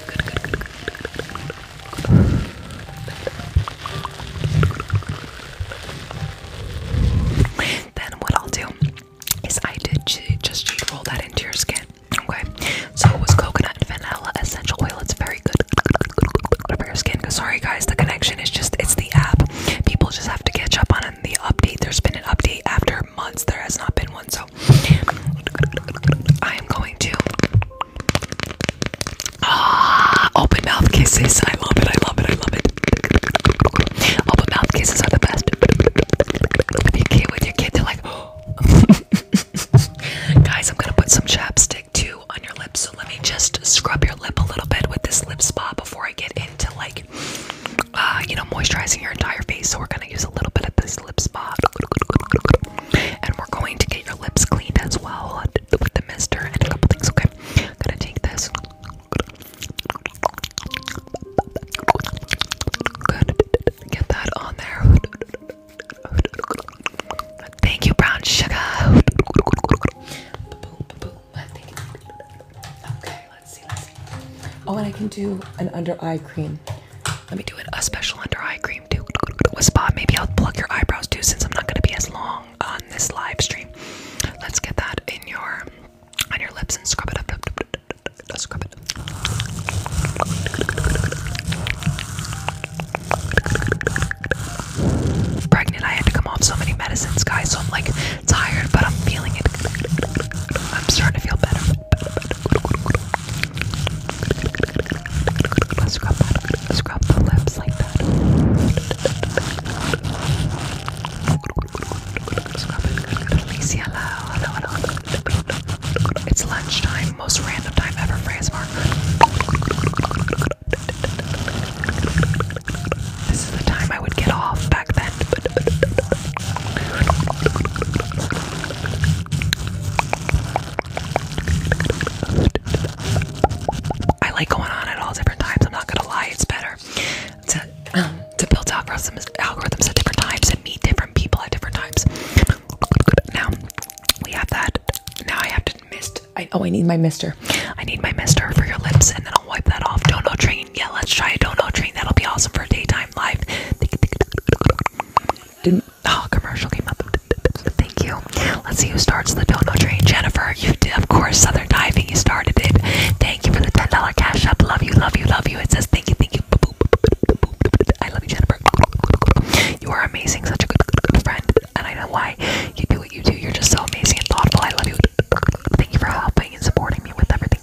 Then what I'll do is I did just cheat roll that into your skin. Okay, so it was coconut and vanilla essential oil. It's very good for your skin. Cause sorry guys, the connection is just—it's the app. People just have to catch up on it. the update. There's been an update after months. There has not been one, so I am going to Ah, open mouth kisses. I love it. I love it. I love it. Open mouth kisses are the best. When you get with your kid, they're like, <gasps> guys, I'm gonna put some chapstick too on your lips. So let me just scrub your lip a little bit with this lip spa before I get into like, uh, you know, moisturizing your entire face. So we're gonna use a little bit of this lip spa, and we're going to get your lips cleaned as well with the mister and a couple things, okay? I'm gonna take this. Get that on there. Thank you, brown sugar. Okay, let's see, Oh, and I can do an under eye cream. Let me do it. a special under eye cream too. A spot. Maybe I'll pluck your eyebrows too, since I'm not gonna be as long on this live stream. Let's get that in your on your lips and scrub it up. Scrub it. Pregnant, I had to come off so many medicines, guys. So I'm like tired, but I'm feeling it. I'm starting to feel better. Let's scrub that. Scrub the lips like that. <laughs> Scrub it. Alicia, It's lunchtime. Most random time ever for ASMR. This is the time I would get off back then. I like going on at all different times. I'm not gonna lie, it's better to um, to build algorithms algorithms at different times and meet different people at different times. Now we have that. Now I have to mist. I, oh, I need my mister. I need my mister for your lips, and then I'll wipe that off. Don't know train. Yeah, let's try a don't know train. That'll be awesome for daytime live. oh, commercial came up. Thank you. Let's see who starts the dono train. Jennifer, you did, of course, Southern Diving. You started it. Thank you for the $10 cash up. Love you, love you, love you. It says thank you, thank you. I love you, Jennifer. You are amazing. Such a good, good, good friend. And I know why you do what you do. You're just so amazing and thoughtful. I love you. Thank you for helping and supporting me with everything.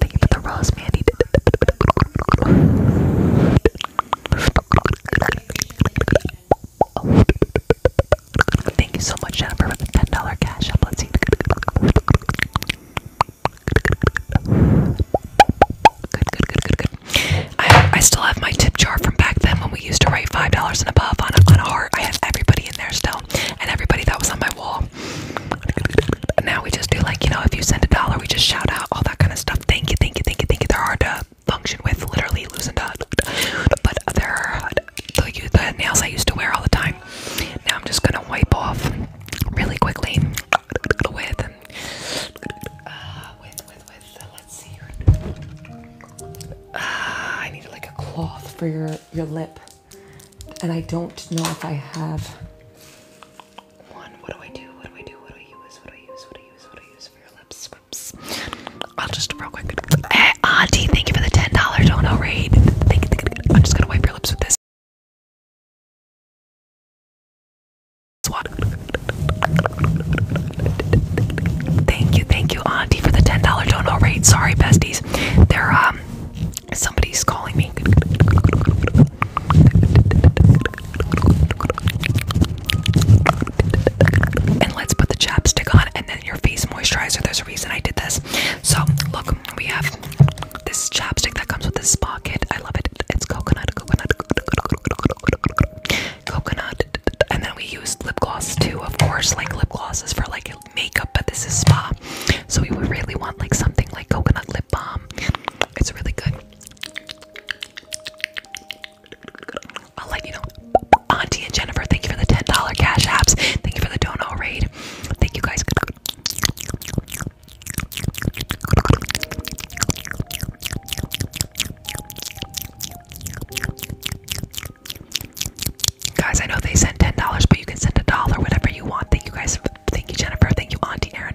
Thank you for the rose, Mandy. Oh. Thank you so much, Jennifer, for the $10 cash up. Let's see. Good, good, good, good, good. I, I still have my tip jar from back then when we used to write $5 and above on a, on a heart. I have everybody in there still, and everybody that was on my wall. Now we just do like, you know, if you send a dollar, we just shout out all that kind of stuff. Thank you, thank you, thank you, thank you. They're hard to uh, function with, literally losing up. But they the, the nails I used to wear all the time. Now I'm just gonna wipe off really quickly with, uh, with, with, with, uh, let's see here. Uh, I need like a cloth for your, your lip. And I don't know if I have one. What do I do? What do I do? What do I use? What do I use? What do I use? What do I use for your lips? I'll just real quick. Hey, eh, Auntie, thank you for the ten dollar dono raid. I'm just gonna wipe your lips with this. Thank you, thank you, Auntie, for the ten dollar dono raid. Sorry, besties. They're um, somebody's calling me. And let's put the chapstick on and then your face moisturizer. There's a reason I did this. So, look, we have this chapstick that comes with this pocket. I love it. It's coconut, coconut, coconut, And then we use lip gloss too, of course. Like lip gloss is for like makeup, but this is spa. So, we would really want like something like coconut lip balm. It's really good. I'll let you know. Auntie and Jennifer, thank you for the $10 cash apps. Thank you for the dono raid. Thank you guys. Guys, I know they sent $10, but you can send a dollar, whatever you want. Thank you guys. Thank you, Jennifer. Thank you, Auntie Erin.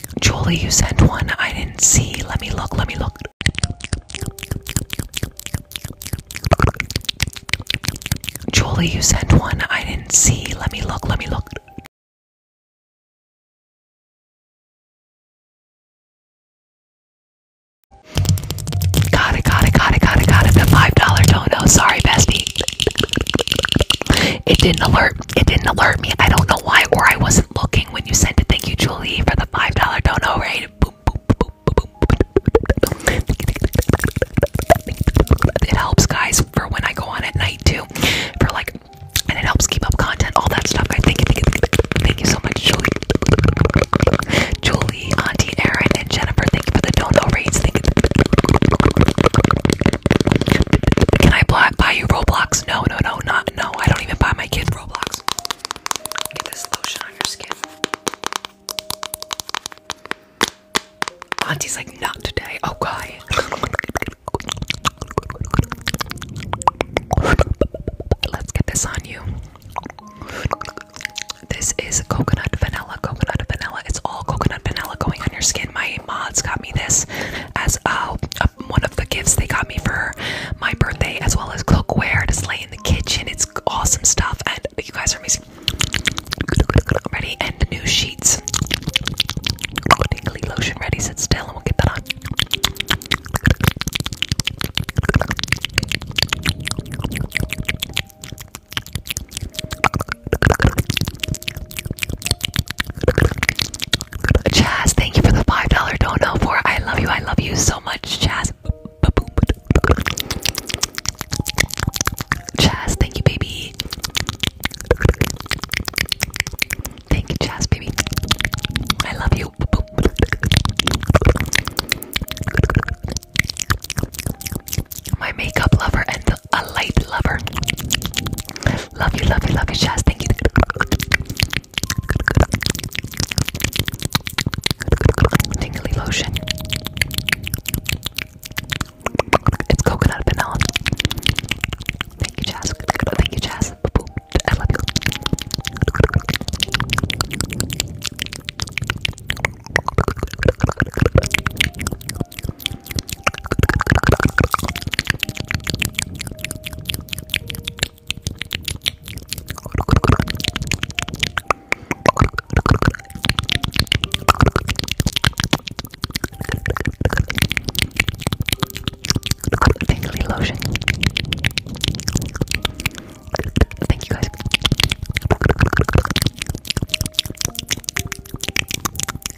Julie, you sent one. I didn't see. Let me look. Let me look. Julie, you sent one. I didn't see. Let me look. Let me look. Got it, got it, got it, got it, got it. The $5 dono. Sorry, bestie. It didn't alert. It didn't alert me. I don't know why, or I wasn't looking when you send it, thank you, Julie, for the five dollar dono rate. It helps, guys, for when I go on at night too, for like, and it helps keep up content, all that stuff. I think. Thank you so much, Julie. Julie, Auntie Erin, and Jennifer. Thank you for the dono rates. Thank you. Can I buy you Roblox? No, no, no no, no. I don't even buy my kids Roblox. Get this lotion on your skin. Auntie's like, not today. Okay. Oh, Let's get this on you. This is coconut vanilla, coconut vanilla. It's all coconut vanilla going on your skin. My mods got me this as a oh, one of the gifts they got me for my birthday, as well as cookware to slay in the kitchen. It's awesome stuff, and you guys are missing. Ready? And new sheets. Tingly lotion ready. Sit still, and we'll get that on. Chaz, thank you for the five dollar dono for I love you, I love you so much, Chaz. Chaz, thank you, baby. Thank you, Chaz, baby. I love you. My makeup lover and a light lover. Love you, love you, love you, Chaz. Thank you. Tingly lotion. It's coconut vanilla. Thank you, Jazz. Thank you, Jazz. I love you. Tingly lotion. Thank you guys.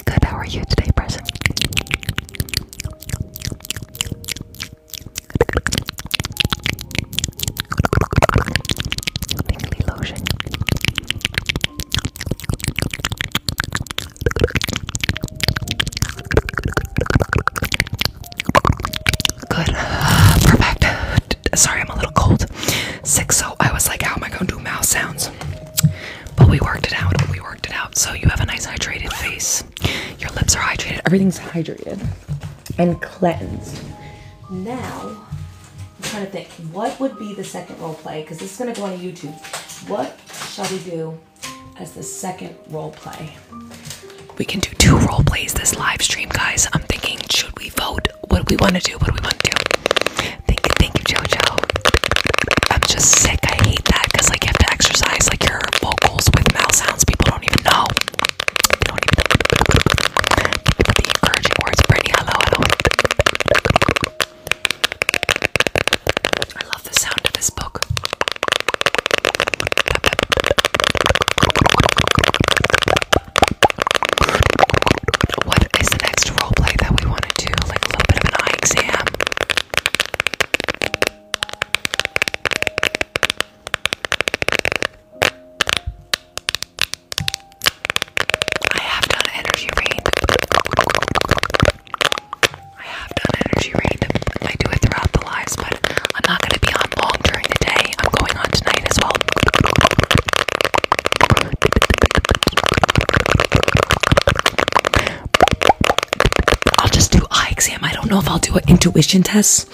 Good, how are you today, Preston? Tingly lotion. Good. <sighs> perfect. Sorry, I'm a little cold. Sick, so I was like, how am I going to do mouth sounds? But we worked it out. We worked it out. So you have a nice hydrated face. Your lips are hydrated. Everything's hydrated and cleansed. Now, I'm trying to think, what would be the second role play? Because this is going to go on YouTube. What shall we do as the second role play? We can do two role plays this live stream, guys. I'm thinking, should we vote? What do we want to do? What do we want to do? Thank you, thank you, JoJo. I'm just sick. I hate that because like you have to exercise, like you're vocals with mouth sounds. People don't even know. the encouraging words, Brittany. Hello, hello. I love the sound of this book. What is the next role play that we want to do? Like a little bit of an eye exam. I have done energy read. I have done energy read. I do it throughout the lives, but I'm not going to be on long during the day. I'm going on tonight as well. I'll just do eye exam. I don't know if I'll do an intuition test,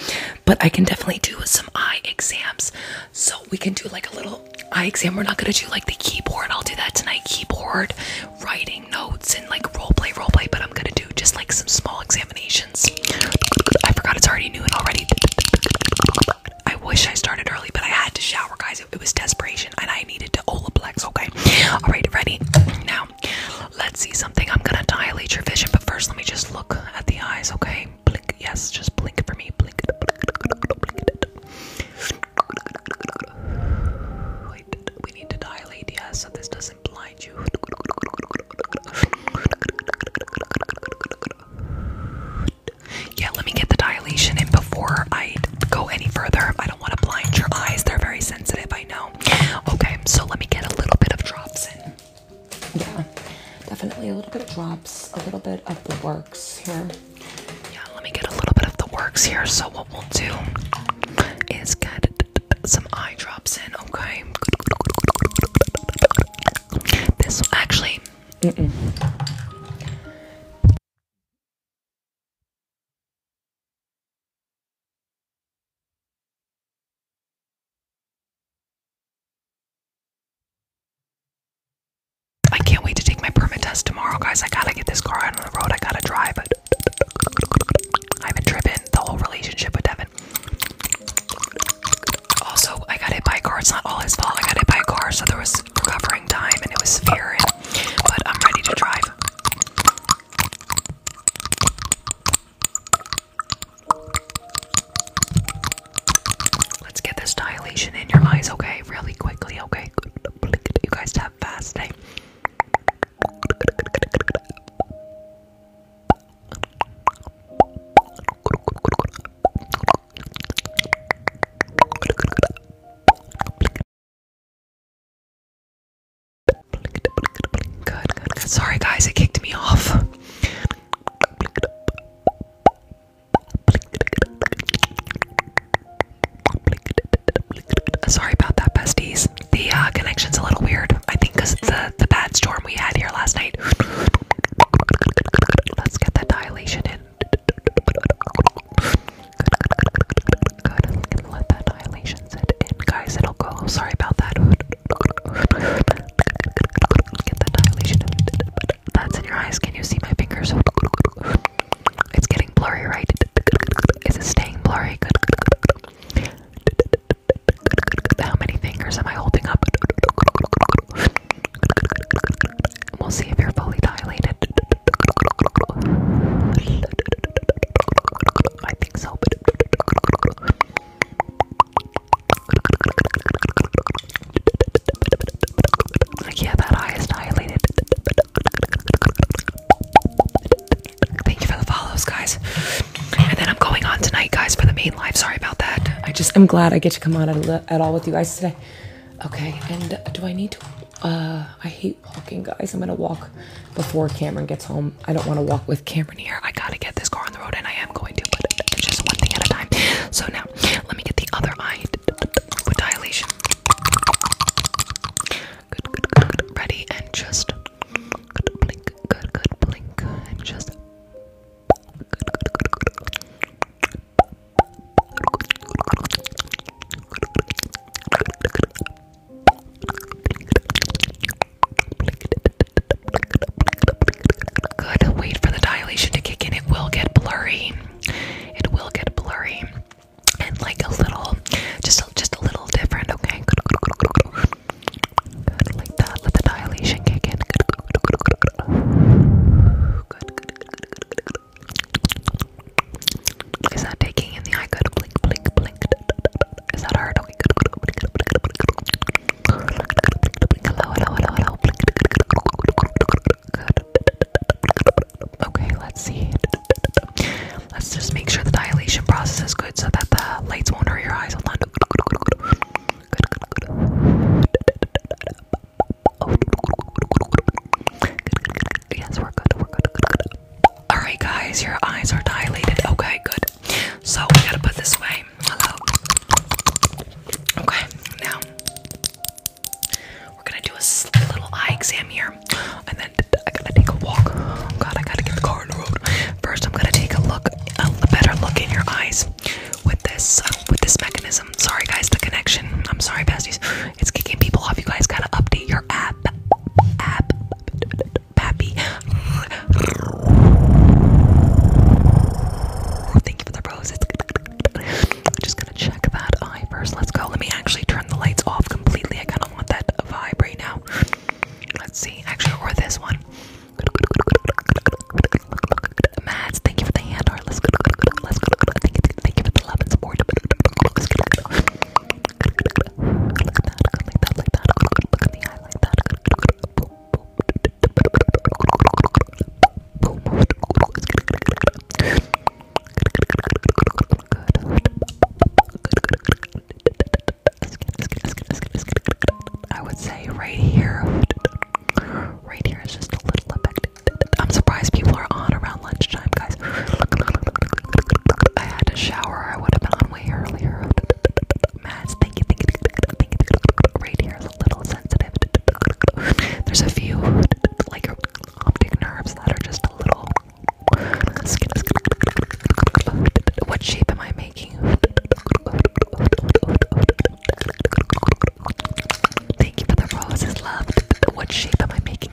but I can definitely do some eye exams. So we can do like a little eye exam. We're not gonna do like the keyboard. I'll do that tonight. Keyboard, writing notes, and like role play, role play. But I'm gonna do just like some small examinations. I forgot it's already noon already. I wish I started early, but I had to shower, guys. It was desperation, and I needed to Olaplex. Okay. All right, ready now let's see something. I'm gonna dilate your vision, but first let me just look at the eyes, okay? Blink, yes, just blink for me. Blink it, blink it, blink it. We need to dilate, yes, yeah, so this doesn't blind you. Yeah, let me get the dilation in before I go any further. I don't want to blind your eyes, they're very sensitive, I know. Okay, so let me get a little bit of drops in. Yeah, definitely a little bit of drops, a little bit of the works here. Yeah, let me get a little bit of the works here. So what we'll do is get some eye drops in. Okay. This actually. I can't wait to take my permit test tomorrow, guys. I gotta get this car out on the road. I gotta drive it. I've been tripping the whole relationship with Devin. Also, I got hit by a car. It's not all his fault. I got hit by a car, so there was recovering time and it was severe. But I'm ready to drive. Let's get this dilation in your eyes, okay? Really quickly, okay? You guys have fast day. Eh? Sorry, guys, it kicked me off. Sorry about that, besties. The uh, connection's a little weird. I think because the the bad storm we had here last night. Let's get that dilation in let that annihilation set in. Guys, it'll go. Sorry about that. <laughs> Get that annihilation That's in your eyes. Can you see my fingers? It's getting blurry, right? It's staying blurry? How many fingers am I holding up? We'll see if you're fully dilated. I think so, but yeah, that eye is dilated. Thank you for the follows, guys. And then I'm going on tonight, guys, for the main live. Sorry about that. I just am glad I get to come on at, at all with you guys today. Okay, and do I need to? Uh, I hate hate walking, guys. I'm gonna walk before Cameron gets home. I don't want to walk with Cameron here. I gotta get this car on the road, and I am going to, but it's just one thing at a time. So now, let me get the other eye with dilation. Ready and just good, blink. Good, good, blink, and just Good. Wait for the dilation to kick in. It will get blurry. It will get blurry. And like a little, just a, just a little different, okay? like that. Let the dilation kick in. Good, good, taking in the eye? Good. Blink, blink, blink. Okay, let's see. Let's just make sure the dilation process is good so that the lights won't hurt your eyes. Hold on. Yes, we're Alright, guys, your eyes are dilated. Okay, good. So we gotta put this away. Hello. Okay, now we're gonna do a little eye exam here, and then I gotta take a walk. Oh, God, I gotta get the car on the road. First, I'm gonna take a look, a better look in your eyes with this, with this mechanism. Sorry, guys, the connection. I'm sorry, besties. It's kicking people off. You guys gotta update your app. App. Pappy. Thank you for the roses. I'm just gonna check that eye first. Let's go. Let me actually turn the lights off completely. I kind of want that vibe right now. Let's see. Actually, or this one. Mads, thank you for the hand art. Let's go. Let's go. thank you for the love and support. I would say right here. Right here is just a little effective. I'm surprised people are on around lunchtime, guys. I had a shower, I would have been on way earlier. Mads, Right here is a little sensitive. There's a few like optic nerves that are just a little. What shape am I making? Thank you for the roses, love. What shape am I making?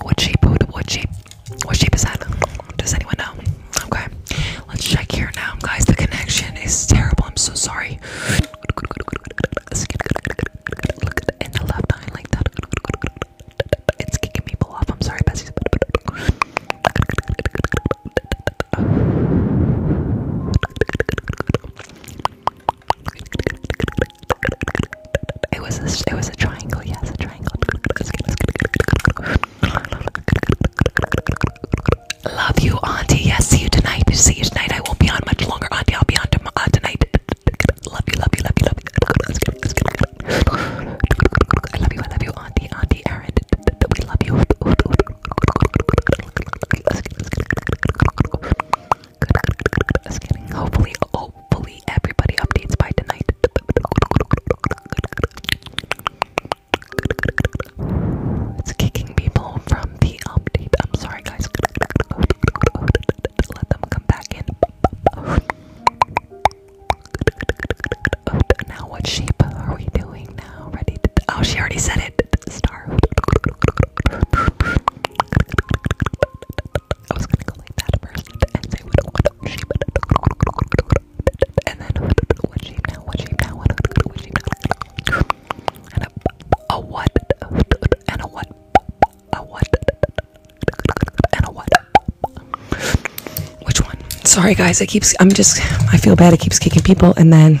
What shape? What shape? What shape is that? Does anyone know? Okay, let's check here now, guys. The connection is terrible. I'm so sorry. Look at in the like that. It's kicking people off. I'm sorry, Bessie. It was a, it was a triangle. Yes, a triangle. Love you, Auntie. Yes, see you tonight. See you tonight. I won't be on much longer, Auntie. I'll be on tom uh, tonight. Love you, love you, love you, love you. I love you, I love you, Auntie, Auntie Erin. We love you. Hopefully, hopefully everybody updates by tonight. It's kicking people from the update. I'm sorry, guys. Let them come back in. Now, what shape are we doing Oh, she already said it. Star. <laughs> I was gonna go like that first and say what, what and then what shape now, what shape now, what, and a, what, a what, and a what. Which one? Sorry guys, it keeps. I'm just. I feel bad. It keeps kicking people, and then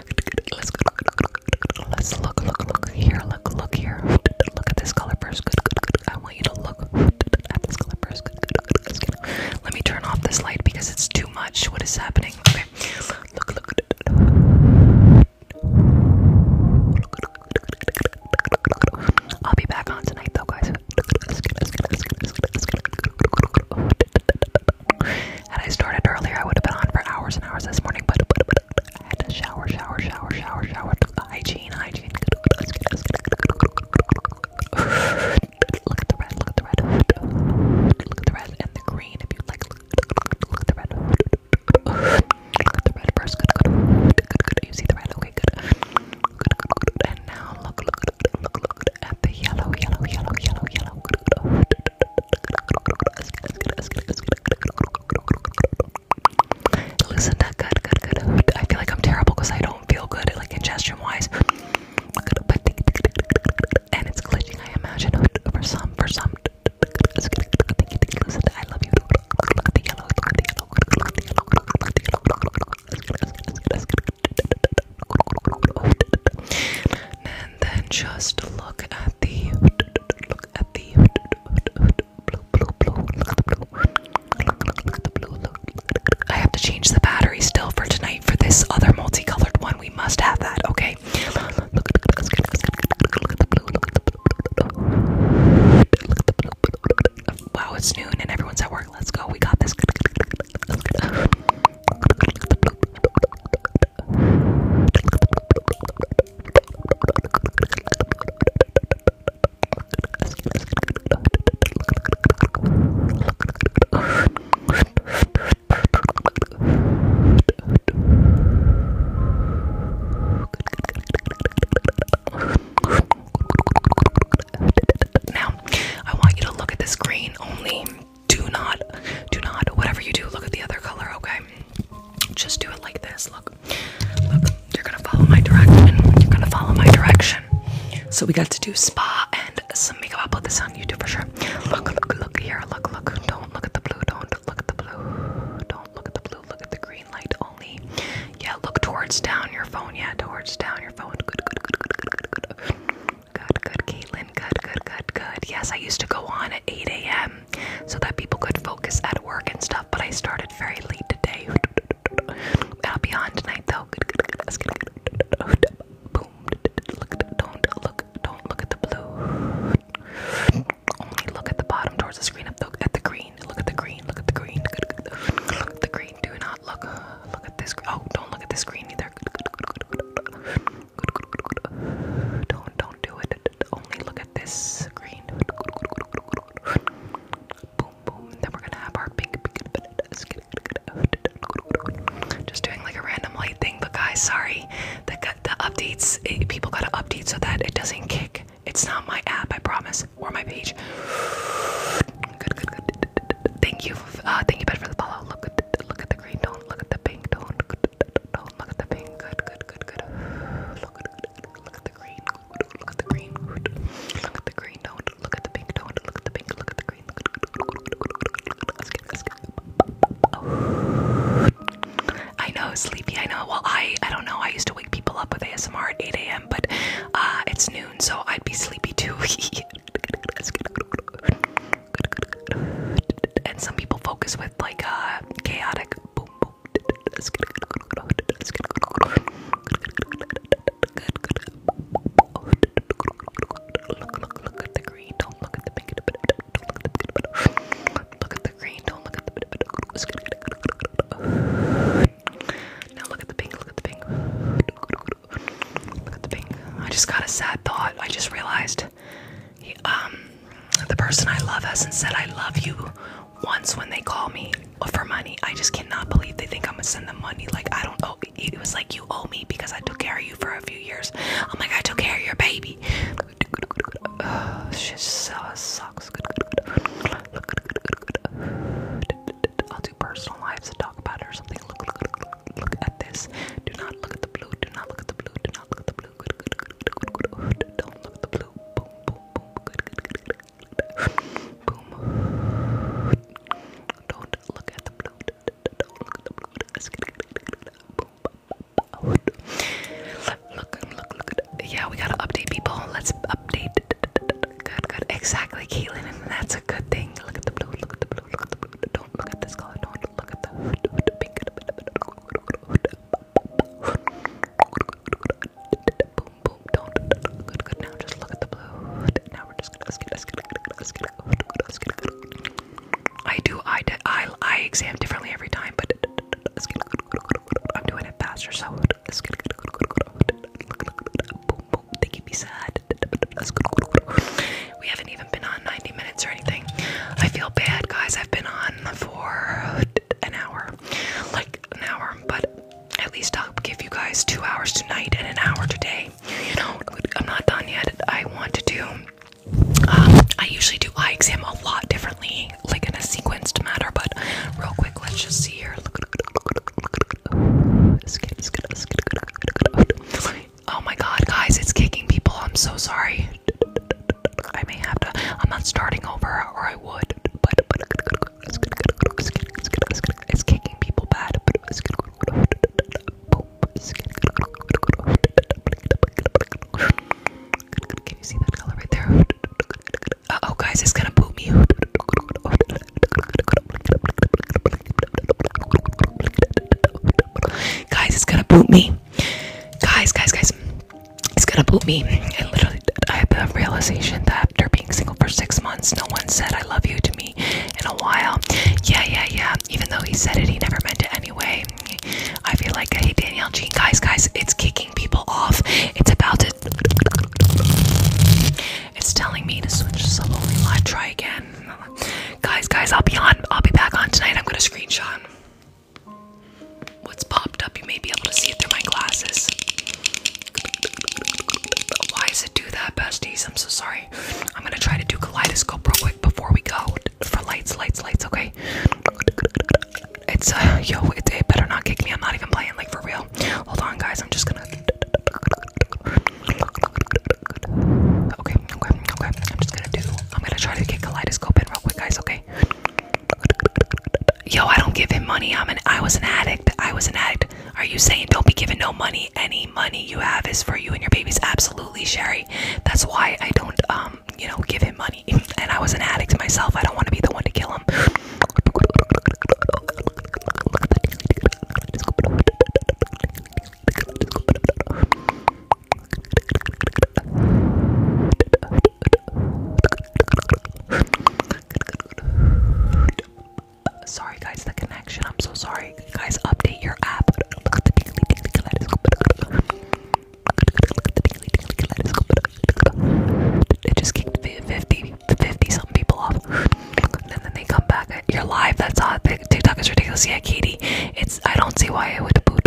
Let's look, look, look, look here. Look, look here. Look at this color first. I want you to look at this color first. Let me turn off this light because it's too much. What is happening? Okay. Look, look. I'll be back on tonight though, guys. Had I started earlier, I would have been on for hours and hours this morning, but, but, but, I had to shower, shower, shower, shower, shower. Hygiene, hygiene. <sighs> Look at the red, look at the red. Look at the red and the green if you like. Look at the red. Look at the red first. Good, good, good, You see the red? Okay, good. Good, good, And now look, look, look, look, at the yellow, yellow, yellow, yellow, yellow. Listen good, good, good. I feel like I'm terrible because I don't feel good, like ingestion wise. And it's glitching, I imagine. For some, for some. I love you and then just look at the look at the blue blue blue look at the blue look at the blue I have to change the battery still for tonight for this other multicolored one. We must have that, okay? Wow, it's noon and everyone's at work. Let's go. We got this. Now, I want you to look at the screen only do not, do not, whatever you do, look at the other color, okay? Just do it like this. Look, look, you're gonna follow my direction. You're gonna follow my direction. So we got to do spa and some makeup. I'll put this on YouTube for sure. Look, look, look here. Look, look. Don't look at the blue. Don't look at the blue. Don't look at the blue. Look at the green light only. Yeah, look towards down your phone. Yeah, towards down your phone. Good, good, good, good, good, good, good. Good, good, Caitlin good, good, good, good. Yes, I used to go on at 8 a.m. so that people could focus at work and stuff, but I started very late today. <laughs> I'll be on tonight though. Look, don't look, don't look at the blue. Only look at the bottom towards the screen. Up at the green. Look at the green. Look at the green. Good, good. Look at the green. Do not look. Look at this. Oh, don't look at the screen either. Don't don't do it. Only look at this screen. Boom boom. Then we're gonna have our pink. Just doing like a random light thing, but guys, sorry. The the updates. Eh, people gotta update so that it doesn't kick. It's not my app, I promise, or my page. Good, good, good. Thank you, uh, thank you, Ben, for the follow. Look at, look at the green. do look at the pink. do don't look at the pink. Good, good, good, good. Look at, look at the green. Look at the green. Look at the green. Don't look at the pink. Don't look at the pink. Look at the green. Let's get, let's get. Oh. I know, sleepy. I know. Well, I, I don't know. I used to wake people up with ASMR at 8 a.m., but uh, it's noon, so I'd be sleepy too. let's get and some people focus with like uh, chaotic Look, at the green. Don't look at the pink. Don't look at the now look at the pink. Look at the pink. Look at the pink. I just got a sad thought. I just realized that he, um, the person I love hasn't said I love you once when they call me for money. I just cannot believe they think I'm gonna send them money. Like I don't owe. It was like you owe me because I took care of you for a few years. I'm like I took care of your baby. Oh, <sighs> shit so sucks. I'll do personal lives to talk about it or something. Look, look, look, look at this. Do not look at the blue. Do not look at the blue. Do not look at the blue blue, good, good, good, good, good, good. Don't look at the blue. Boom, boom, boom. Good, good, good, good, good. Boom. Don't look at the blue. Don't look at the blue. That's good, good, good, good, good. Boom, boom, boom. Look, look, look at. Yeah, we gotta update people. Let's update. Good, good. Exactly, Caitlin, and that's a good thing. Look at the blue. Look at the blue. Look at the blue. Don't look at this color. Don't look at the pink. Boom, boom, don't. Good, good. Now just look at the blue. Now we're just gonna skip, skip, skip, skip, skip. I do eye, eye, eye exam differently every time, but I'm doing it faster, so. Boom, boom. They keep me sad. We haven't even been on 90 minutes or anything. I feel bad, guys. I've been on for an hour, like an hour, but at least I'll give you guys two hours tonight and an hour today. You know, I'm not done yet. I want to do. I usually do eye exam a lot differently, like in a sequenced manner. But real quick, let's just see here. Oh my God, guys, it's kicking people. I'm so sorry. I may have to. I'm not starting over, or I would. But it's kicking people bad. Can you see that color right there? Uh oh, guys, it's gonna poop me. Guys, it's gonna poop me. Guys, guys, guys it's gonna boot me. I literally, I had a realization that after being single for six months, no one said I love you to me in a while. Yeah, yeah, yeah. Even though he said it, he never meant it anyway. I feel like, hey, Danielle Jean, guys, guys, it's kicking people off. It's about to. It's telling me to switch to slowly live. Try again, guys, guys. I'll be on. I'll be back on tonight. I'm gonna screenshot what's popped up. You may be able to see it through my glasses. Why does it do that, besties? I'm so sorry. I'm gonna try to do kaleidoscope real quick before we go for lights, lights, lights. Okay. It's uh, yo, it, it better not kick me. I'm not even playing, like for real. Hold on, guys. I'm just gonna. Okay, okay, okay. I'm just gonna do. I'm gonna try to get kaleidoscope in real quick, guys. Okay. Yo, I don't give him money. I'm an I was an addict. I was an addict. Are you saying don't be giving no money? Any money you have is for you and your babies. Absolutely, Sherry. That's why I don't um, you know, give him money. And I was an addict myself. I don't want to be the one to kill him. Sorry, guys, the connection. I'm so sorry. Guys, update your app. It just kicked 50, 50 something people off. And then they come back. You're live. That's odd. TikTok is ridiculous. Yeah, Katie. It's I don't see why it would boot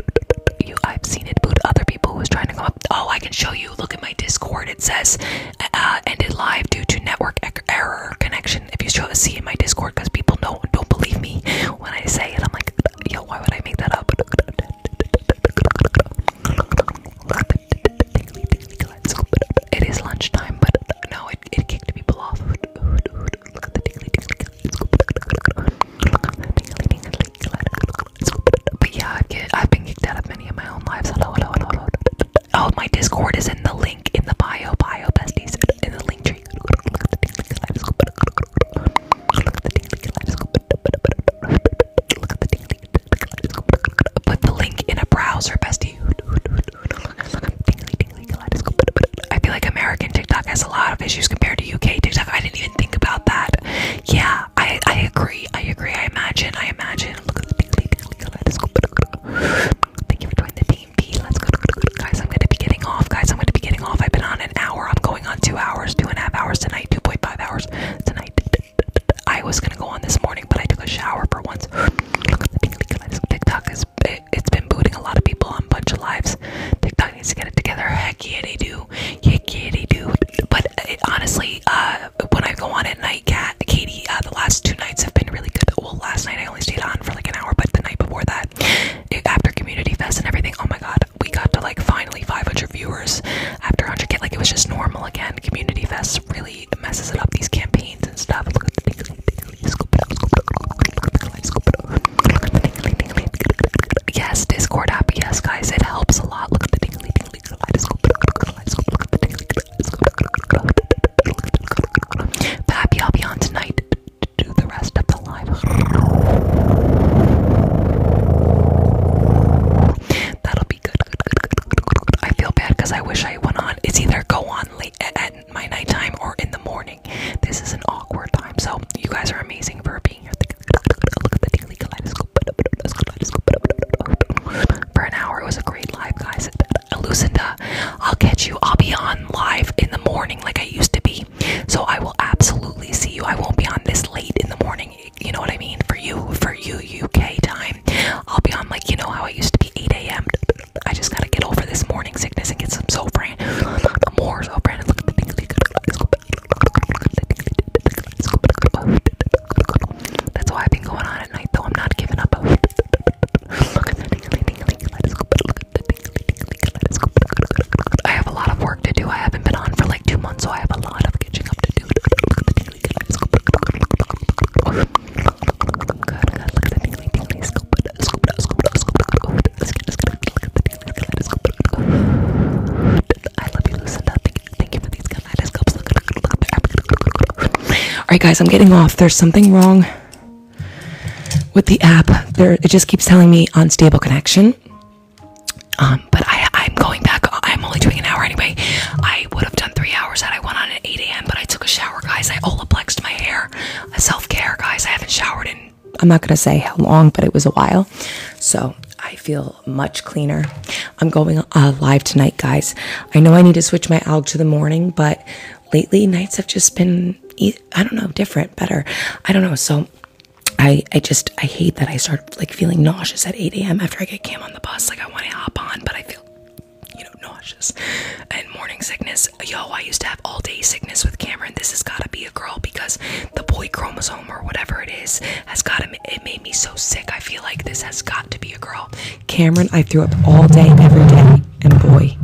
you. I've seen it boot other people was trying to come up. Oh, I can show you. Look at my Discord. It says uh, ended live due to network error connection. If you show a C in my Discord, because people don't don't believe me when I say it. I'm like, yo, why would I make that up? It is lunchtime, but no, it, it kicked people off. But yeah, I've, been kicked out of many of my own lives. Oh, my Discord is in the link in the bio, bio besties, in the link tree. Put the link in a browser, bestie. I feel like American TikTok has a lot of issues compared to UK TikTok. I didn't even think about that yeah, I I agree. I agree. I imagine. I imagine. Look at the big big kaleidoscope. Thank you for joining the team, P. Let's go, guys. I'm gonna be getting off, guys. I'm gonna be getting off. I've been on an hour. I'm going on two hours, two and a half hours tonight, two point five hours tonight. I was gonna go on this morning, but I took a shower for once. Look at the big kaleidoscope. TikTok is it, it's been booting a lot of people on a bunch of lives. TikTok needs to get it together. Heck yeah, they do do, yeah, kitty do. But honestly, when I go on at night, cat, Katie, the last two nights have been really good. Well, last night I only stayed on for like an hour, but the night before that, after community fest and everything, oh my god, we got to like finally 500 viewers after 100k. Like it was just normal again. Community fest really messes it up. These campaigns and stuff. Look at the tickly, tickly, scoop it Yes, Discord app. Yes, guys, it helps a lot. Look at the tingly, tingly kaleidoscope. Kaleidoscope. Look at the tingly kaleidoscope. But happy I'll be on tonight to do the rest of the live. That'll be good. good, good, good, good, I feel bad because I wish I went on. It's either go on late at my nighttime or in the morning. This is an awkward time. So you guys are amazing for being. For an hour, it was a great live, guys. Lucinda, I'll catch you. I'll be on live in the morning like I used to be. So I will absolutely see you. I won't be on this late in the morning. You know what I mean? For you, for you, UK time. I'll be on like, you know how I used to be 8 a.m. I just gotta get over this morning sickness and get some Zofran. More Zofran. Look at the thing. That's why I've been going on at night, though. I'm not giving up. I have a lot of work to do. I haven't been on for like two months, so I have a lot of catching up to do. All right, guys, I'm getting off. There's something wrong with the app. There, it just keeps telling me unstable connection. Um, but I, I'm going back. I'm only doing an hour anyway. I would have done three hours had I went on at 8 a.m. But I took a shower, guys. I olaplexed my hair. Self care, guys. I haven't showered in I'm not going to say how long, but it was a while. So I feel much cleaner. I'm going uh, live tonight, guys. I know I need to switch my alg to the morning, but lately nights have just been, I don't know, different, better. I don't know. So I, I just, I hate that I start like feeling nauseous at 8 a.m. after I get cam on the bus. Like I want to hop on, but I feel, you know, nauseous and morning sickness. Yo, I used to have all day sickness with Cameron. This has got to be a girl because the boy chromosome or whatever it is has got him. It made me so sick. I feel like this has got to be a girl. Cameron, I threw up all day, every day, and boy,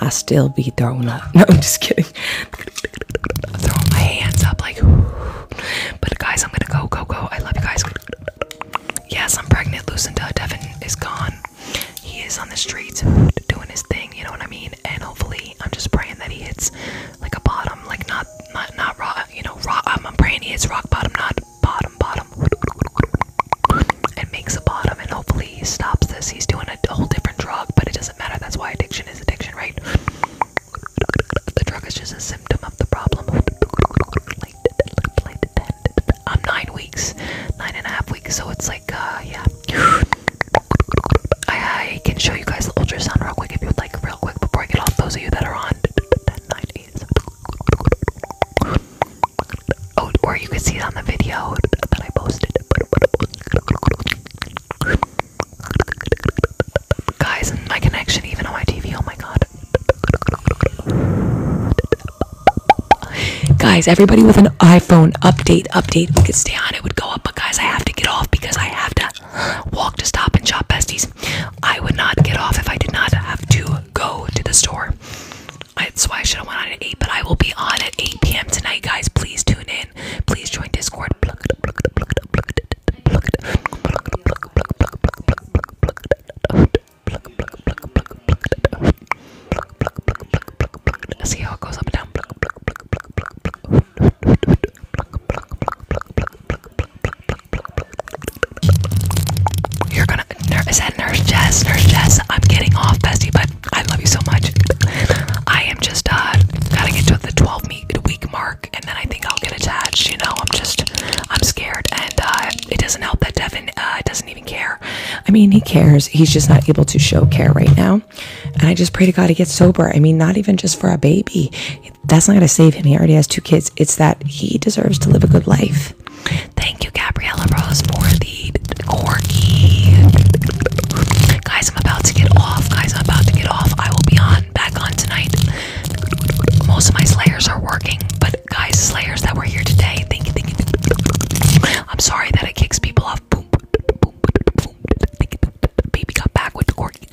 I still be throwing up. <laughs> No, I'm just kidding. <laughs> throwing my hands up like. But guys, I'm gonna go, go, go. I love you guys. Yes, I'm pregnant. Lucinda Devin is gone. He is on the streets doing his thing. You know what I mean? And hopefully, I'm just praying that he hits like a bottom, like not not not rock. you know, rock. I'm um, a brainy. It's rock bottom, not bottom bottom. And makes a bottom, and hopefully he stops this. He's doing a whole different drug, but it doesn't matter. That's why addiction is addiction, right? The drug is just a symptom of the problem. I'm nine weeks, nine and a half weeks, so it's like, uh, yeah. I, can show you guys the ultrasound real quick if you would like like real quick before I get off. Those of you that are on oh, or you can see it on the video that I posted. Guys, my connection even on my TV. Oh my god. Guys, everybody with an iPhone update, update. We could stay on it, would go up, but guys, I have to get off because I have to walk to Stop and Shop besties. I would not get off if I did not have to go to the store. That's why I should have went on at 8, but I will be on at 8 p.m. tonight, guys. Please tune in. Please join Discord. Let's see how it goes up and down. You're gonna. Is that Nurse Jess? Nurse Jess, I'm getting off, Bessie, but I love you so much. I am just uh, gotta get to the 12 week mark, and then I think I'll get attached. You know, I'm just, I'm scared, and uh, it doesn't help that Devin uh, doesn't even care. I mean, he cares. He's just not able to show care right now, and I just pray to God he gets sober. I mean, not even just for a baby that's not going to save him. He already has two kids. It's that he deserves to live a good life. Thank you, Gabriella Rose, for the corky. Guys, I'm about to get off. Guys, I'm about to get off. I will be on back on tonight. Most of my slayers are working, but guys, slayers that were here today, thank you, thank you. I'm sorry that it kicks people off. Boom, boom, boom, Baby got back with the corgi.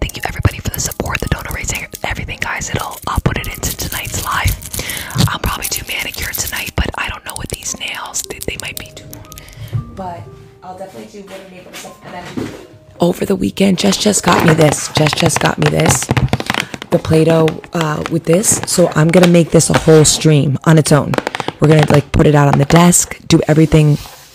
Thank you everybody for the support, the donor raising, everything, guys. It'll I'll put it into tonight's live. I'm probably too manicured tonight, but I don't know what these nails. They, might be too long. But I'll definitely do what I'm And then over the weekend, Jess just got me this. Jess just got me this. The Play-Doh uh, with this. So I'm gonna make this a whole stream on its own. We're gonna like put it out on the desk, do everything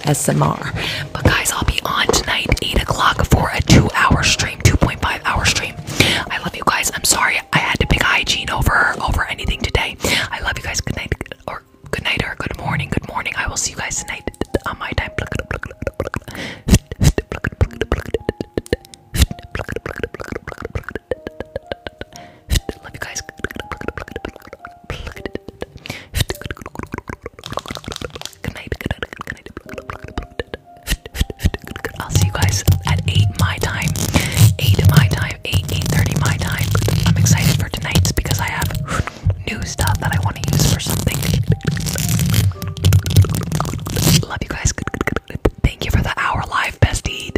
ASMR. But guys, I'll be on tonight, 8 o'clock for a two-hour stream, 2.5 hour stream. I love you guys. I'm sorry I had to pick hygiene over over anything today. I love you guys. Good night or good night or good morning. Good morning. I will see you guys tonight on my time. Love you guys. I'll see you guys at eight my time. Eight my time. Eight eight thirty my time. I'm excited for tonight's because I have new stuff that I want to use for something. Love you guys. Thank you for the hour live bestie.